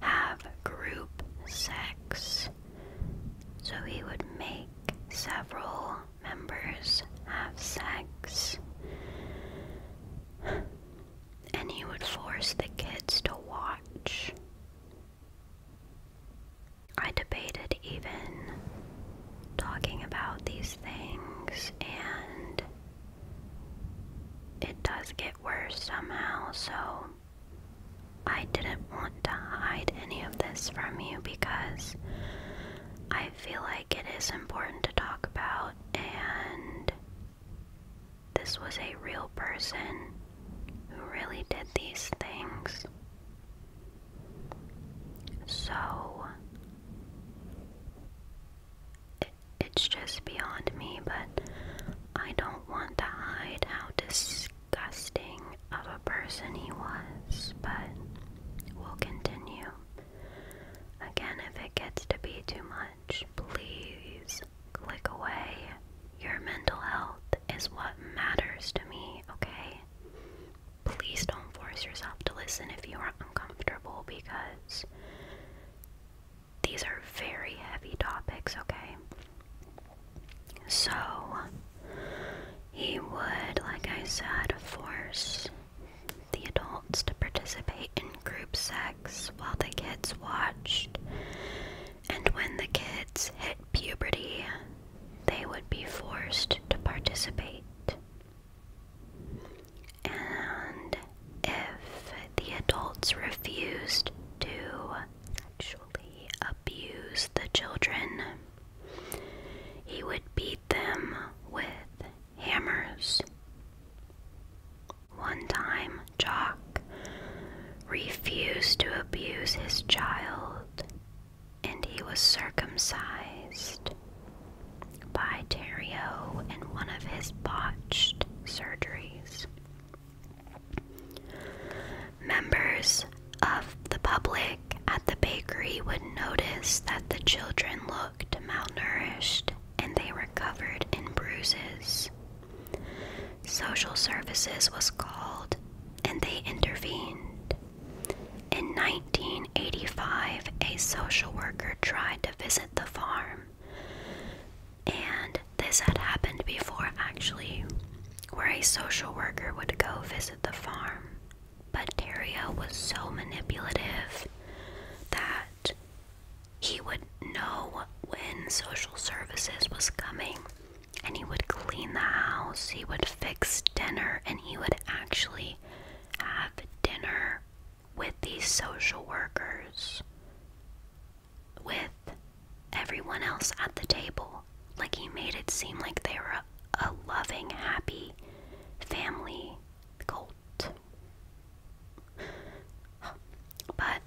have group sex. So he would make several members have sex. And he would force the kids to watch. I debated even talking about these things, and it does get worse somehow, so I didn't want to hide any of this from you because I feel like it is important to talk about, and this was a real person who really did these things. So it's just beyond me, but I don't want to hide how disgusting of a person he was, but we'll continue. Again, if it gets to be too much, please click away. Your mental health is what matters to me, okay? please don't force yourself to listen if you are uncomfortable because these are very heavy topics, okay? So, he would, like I said, force the adults to participate in group sex while the kids watched. And when the kids hit puberty, they would be forced to participate. And if the adults refused to sexually abuse the children, he would beat them with hammers. One time, Jock refused to abuse his child and he was circumcised by Terrio in one of his botched surgeries. Members of the public at the bakery would notice that the children looked malnourished and they were covered in bruises. Social services was called and they intervened. In 19 1985, a social worker tried to visit the farm. And this had happened before, actually, where a social worker would go visit the farm. But Dario was so manipulative that he would know when social services was coming and he would clean the house, he would fix dinner, and he would actually have dinner with these social workers with everyone else at the table. Like he made it seem like they were a, a loving, happy family cult. But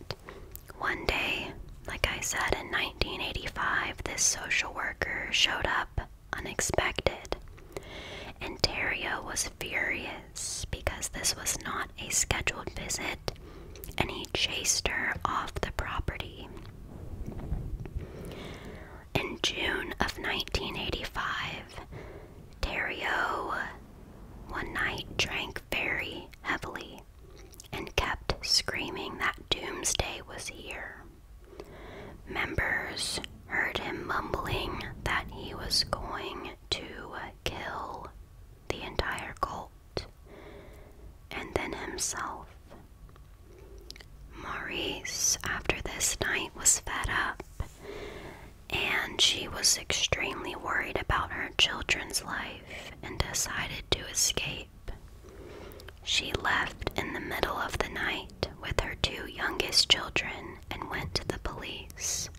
one day, like I said in 1985, this social worker showed up unexpected. And Dario was furious because this was not a scheduled visit and he chased her off the property. In June of 1985, Dario one night drank very heavily and kept screaming that doomsday was here. Members heard him mumbling that he was going to kill the entire cult and then himself. Maurice, after this night, was fed up and she was extremely worried about her children's life and decided to escape. She left in the middle of the night with her two youngest children and went to the police.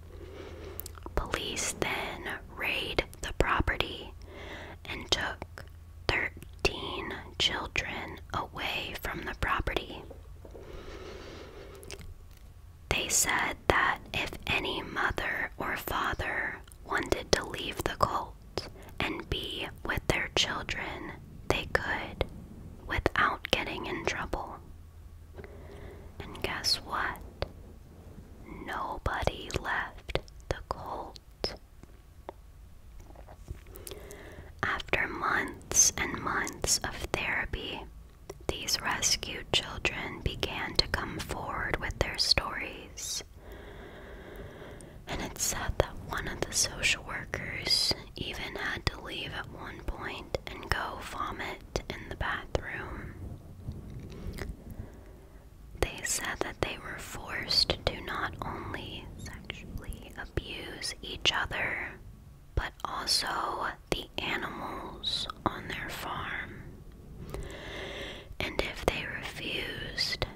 Police then raided the property and took 13 children away from the property. They said that if any mother or father wanted to leave the cult and be with their children, they could without getting in trouble. And guess what? Nobody left the cult. After months and months of therapy, these rescued children began to come forward with their stories. And it's said that one of the social workers even had to leave at one point and go vomit in the bathroom. They said that they were forced to not only sexually abuse each other, but also the animals on their farm. And if they refused,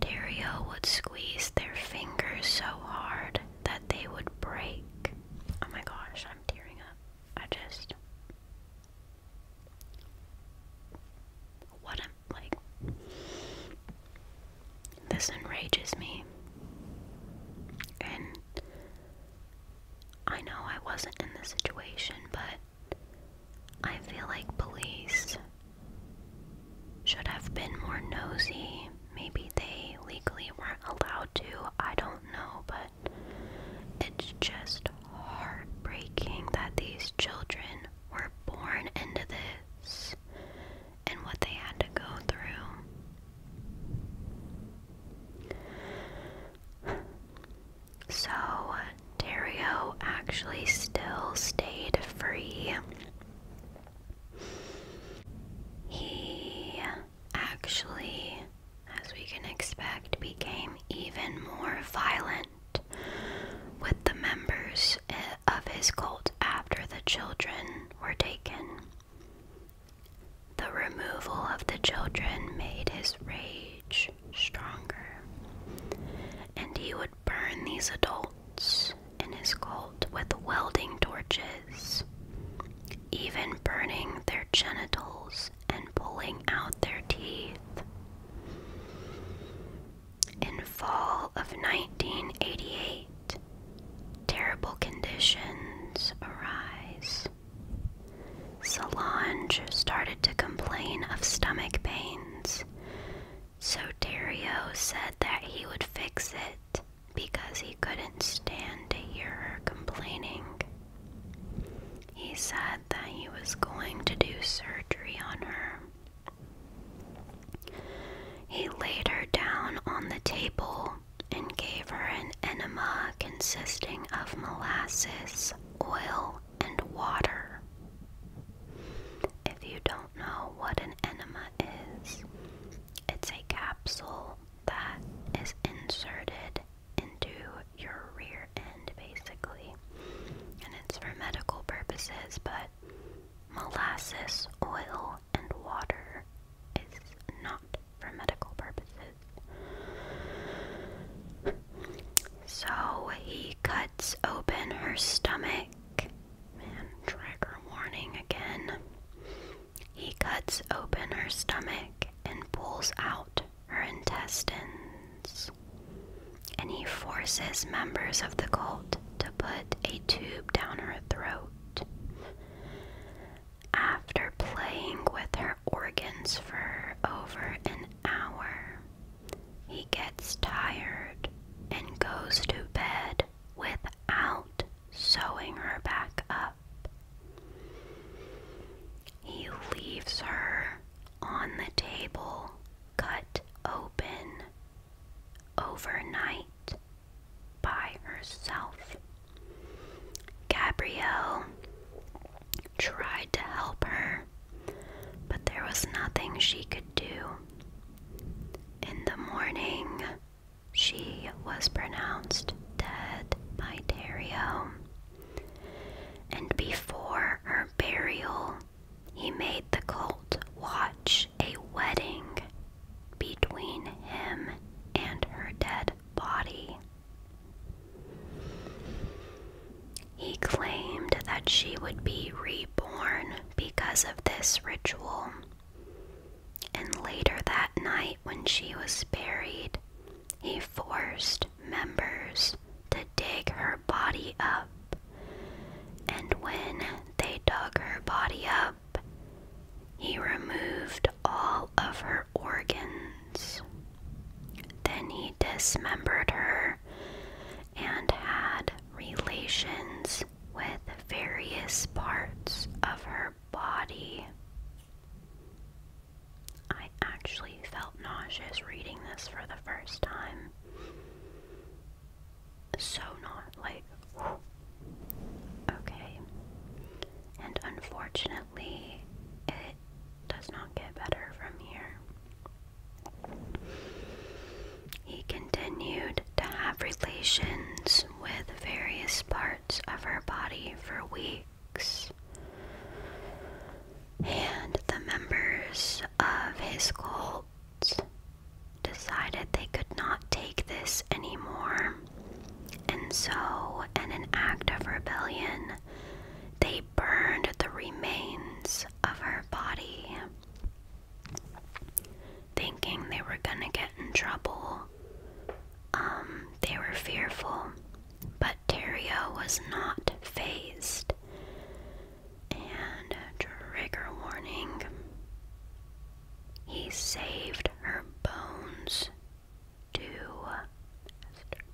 Dario would squeeze their fingers so hard that they would break. Oh my gosh, I'm tearing up. I just. What am like. This enrages me. And I know I wasn't in this situation, but I feel like police should have been more nosy Maybe they legally weren't allowed to, I don't know, but it's just heartbreaking that these children were born into this and what they had to go through. So, Dario actually still stayed free he actually, as we can expect, became even more violent with the members eh, of his cult after the children were taken. The removal of the children made his rage stronger, and he would burn these adults in his colt with welding torches, even burning their genitals and pulling out their teeth. In fall of 1988, terrible conditions arise. Salange started to complain of stomach pains, so Dario said that he would fix it because he couldn't stand to hear her complaining. He said that he was going to do surgery on her. He laid her down on the table and gave her an enema consisting of molasses, oil, and water. If you don't know what an enema is, it's a capsule that is inserted into your rear end basically. And it's for medical purposes, but molasses, oil, and water is not for medical purposes. So he cuts open her stomach. trigger warning again. He cuts open her stomach and pulls out her intestines. And he forces members of the cult to put a tube down her throat. After playing with her organs for over an hour, he gets tired and goes to bed without sewing her back up. He leaves her on the table, cut open, overnight, by herself. Gabrielle tried to help her, but there was nothing she could do. In the morning, she was pronounced dead by Dario. And before her burial, he made the cult watch a wedding between him and her dead body. He claimed that she would be reborn because of this ritual. And later that night, when she was buried, he forced members to dig her body up. And when they dug her body up, he removed all of her organs. Then he dismembered her and had relations with various parts of her body. I actually felt nauseous reading this for the first time. So not like okay. And unfortunately, it does not get better from here. He continued to have relations with various parts of her body for weeks, and the members of his cult decided they could not take this anymore. And so, in an act of rebellion, they burned the remains of her body, thinking they were gonna get in trouble. Um, they were fearful, but Terrio was not phased. And trigger warning. He saved her bones to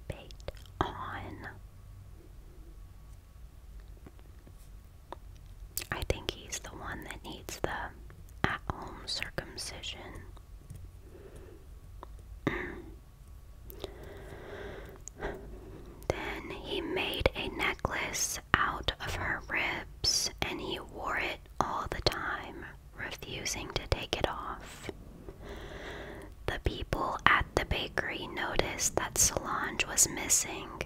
bait on. I think he's the one that needs the at home circumcision then he made a necklace out of her ribs and he wore it all the time, refusing to take it off. The people at the bakery noticed that Solange was missing,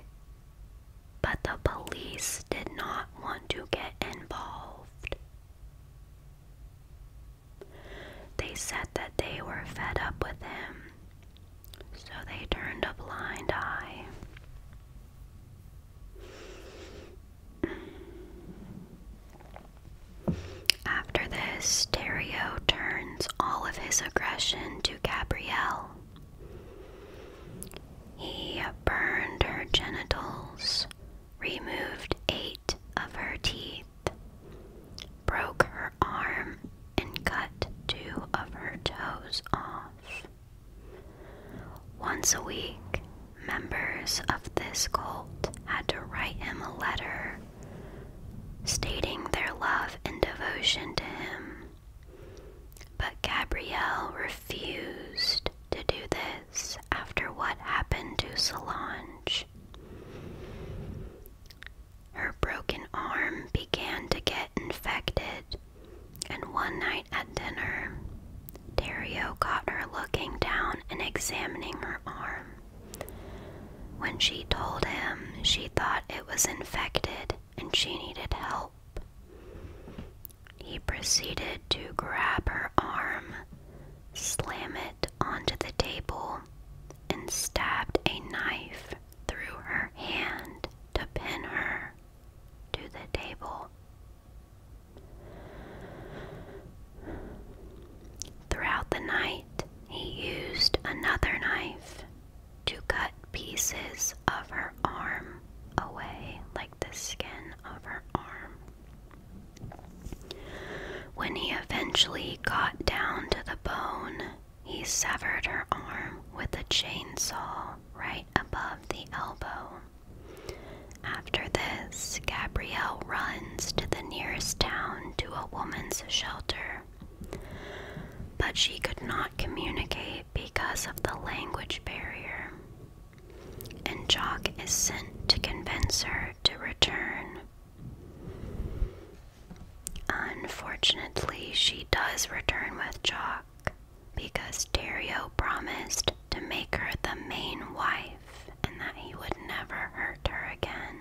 but the police did not want to get involved. They said that they were fed up with him, so they turned a blind eye. After this, Dario turns all of his aggression to Gabrielle. He burned her genitals, removed eight of her teeth, broke her arm, and cut two of her toes off. Once a week, members of this cult had to write him a letter stating their love and devotion to him. But Gabrielle refused to do this after what happened to Solange. Her broken arm began to get infected, and one night at dinner, Dario caught her looking down and examining her arm. When she told him she thought it was infected and she needed help, he proceeded to grab her arm, slam it onto the table, and stabbed a knife through her hand to pin her to the table. Throughout the night, he used another knife to cut pieces of her arm away, like the skin of her arm. When he eventually got down to the bone, he severed her arm with a chainsaw right above the elbow. After this, Gabrielle runs to the nearest town to a woman's shelter. But she could not communicate because of the language barrier and Jock is sent to convince her to return. Unfortunately, she does return with Jock because Dario promised to make her the main wife and that he would never hurt her again.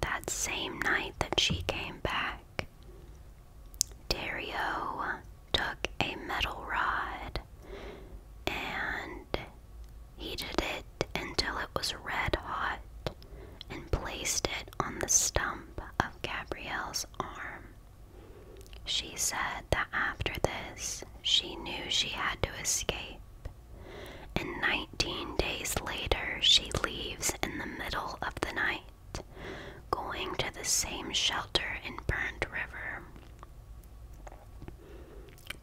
That same night that she came back, Dario took a metal rod and heated it until it was red hot and placed it on the stump of Gabrielle's arm. She said that after this, she knew she had to escape. And 19 days later, she leaves in the middle of the night going to the same shelter in Burnt River.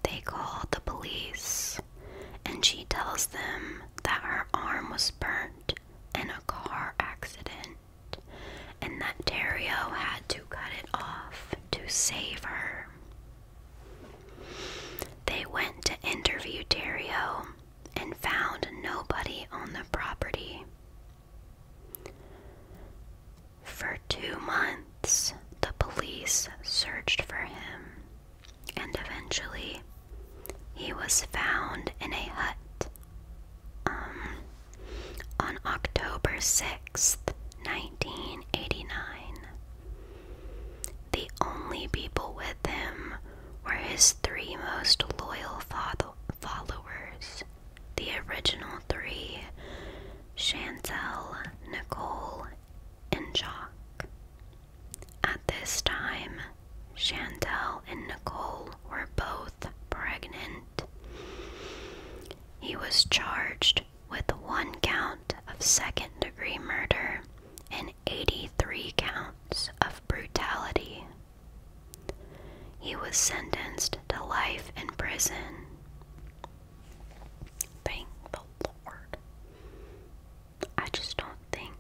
They call the police, and she tells them that her arm was burnt in a car accident and that Dario had to cut it off to save her. They went to interview Dario and found nobody on the property. For two months, the police searched for him, and eventually, he was found in a hut um, on October 6th, 1989. The only people with him were his three most loyal followers the original three Chantel, Nicole, and Jock. At this time, Chantel and Nicole were both pregnant. He was charged with one count of second degree murder and 83 counts of brutality. He was sentenced to life in prison. Thank the Lord. I just don't think.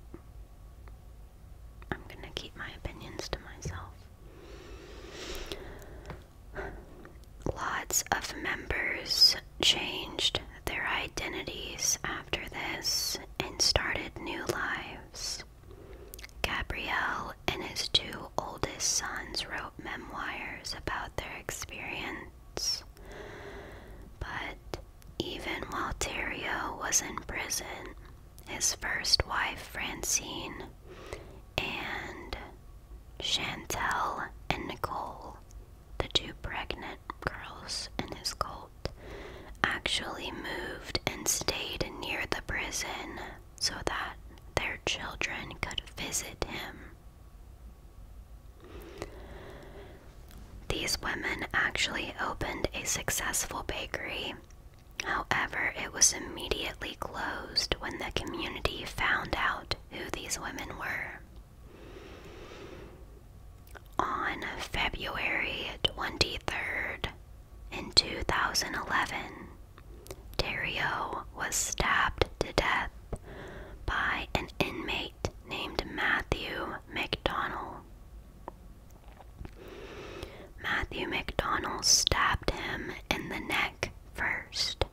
I'm gonna keep my opinions to myself. Lots of members changed their identities after this and started new lives. Gabrielle and his two oldest sons wrote memoirs about their experience. But even while Terrio was in prison, his first wife Francine and Chantel and Nicole, the two pregnant girls in his cult, actually moved and stayed near the prison so that their children could visit him. These women actually opened a successful bakery. However, it was immediately closed when the community found out who these women were. On February 23rd, in 2011, Dario was stabbed to death by an inmate named Matthew McDonald. Matthew McDonnell stabbed him in the neck first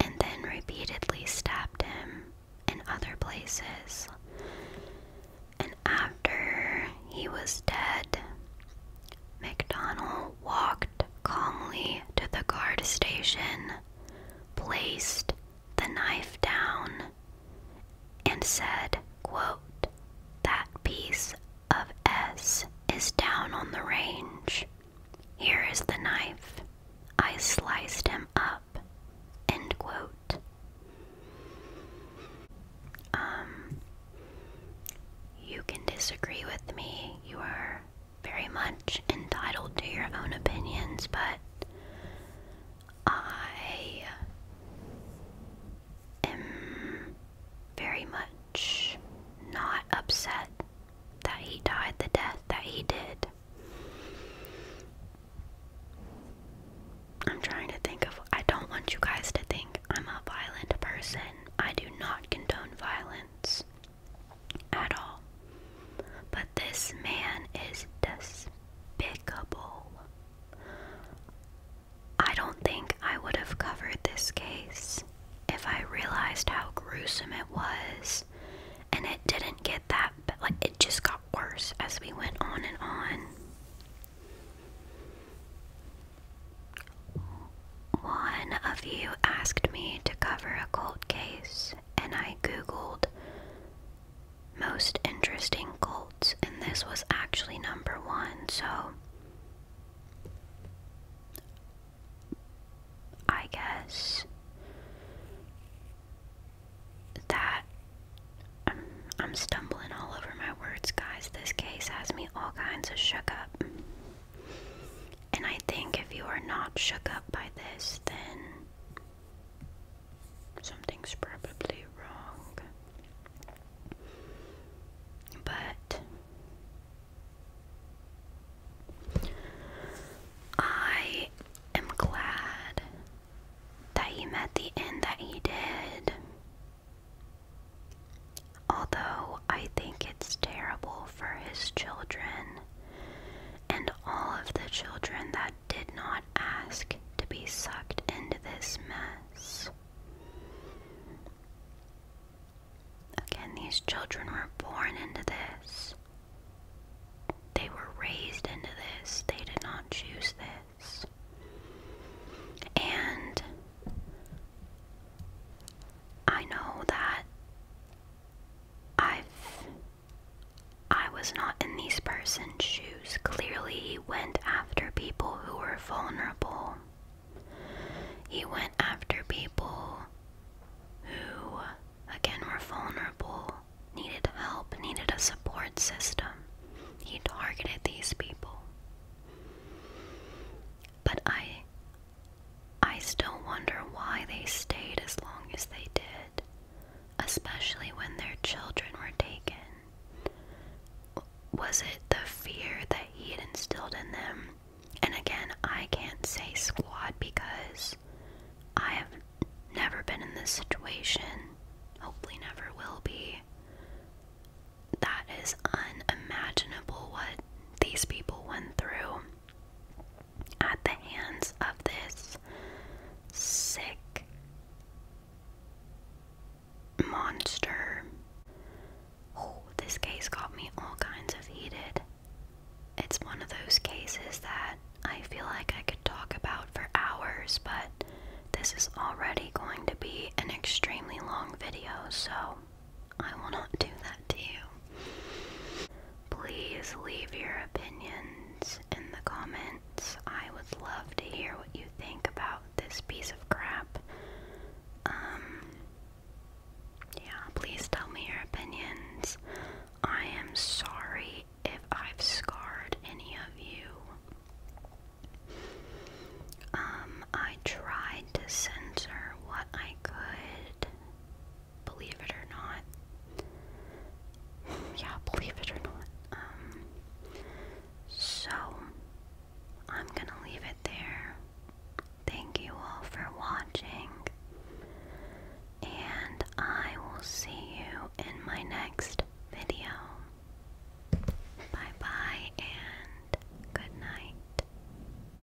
and then repeatedly stabbed him in other places. And after he was dead, McDonnell walked calmly to the guard station, placed the knife down, and said, quote, That piece of S is down on the range. Here is the knife. I sliced him up. End quote. Um, you can disagree with me. You are very much entitled to your own opinions, but I am very much not upset that he died the death that he did. I'm trying to think of. I don't want you guys to think I'm a violent person. I do not condone violence at all. But this man is despicable. I don't think I would have covered this case if I realized how gruesome it was. And it didn't get that, but like it just got worse as we went on and on. One of you asked me to cover a cold case, and I googled most interesting cults, and this was actually number one, so I guess that um, I'm stumbling all over my words, guys. This case has me all kinds of shook up. And I think if you are not shook up by this, then something's probably wrong. But I am glad that he met the end that he did. Although I think it's terrible for his children and all of the children that did not ask to be sucked into this mess. Again, these children were born into this. They were raised into this. They did not choose this. And I know that I've I was not in these person's shoes. Clearly, he went after people who were vulnerable. He went after people who, again, were vulnerable, needed help, needed a support system. He targeted these people. But I I still wonder why they stayed as long as they did, especially when their children were taken. Was it the fear that he had instilled in them? And again, I can't say squad because I have never been in this situation, hopefully, never will be. That is unimaginable what these people went through at the hands of this sick monster. Oh, this case got me all kinds of heated. It's one of those cases that I feel like I could talk about for hours, but this is already going to be an extremely long video, so I will not do that to you. Please leave your opinions in the comments. I would love to hear what you think about this piece of crap. Um, yeah, please tell me your opinions. I am sorry if I've scarred any of you. Um, I tried to censor what I could Believe it or not. yeah, believe it or not. Um, so, I'm gonna leave it there. Thank you all for watching. And I will see you in my next video. Bye bye and good night.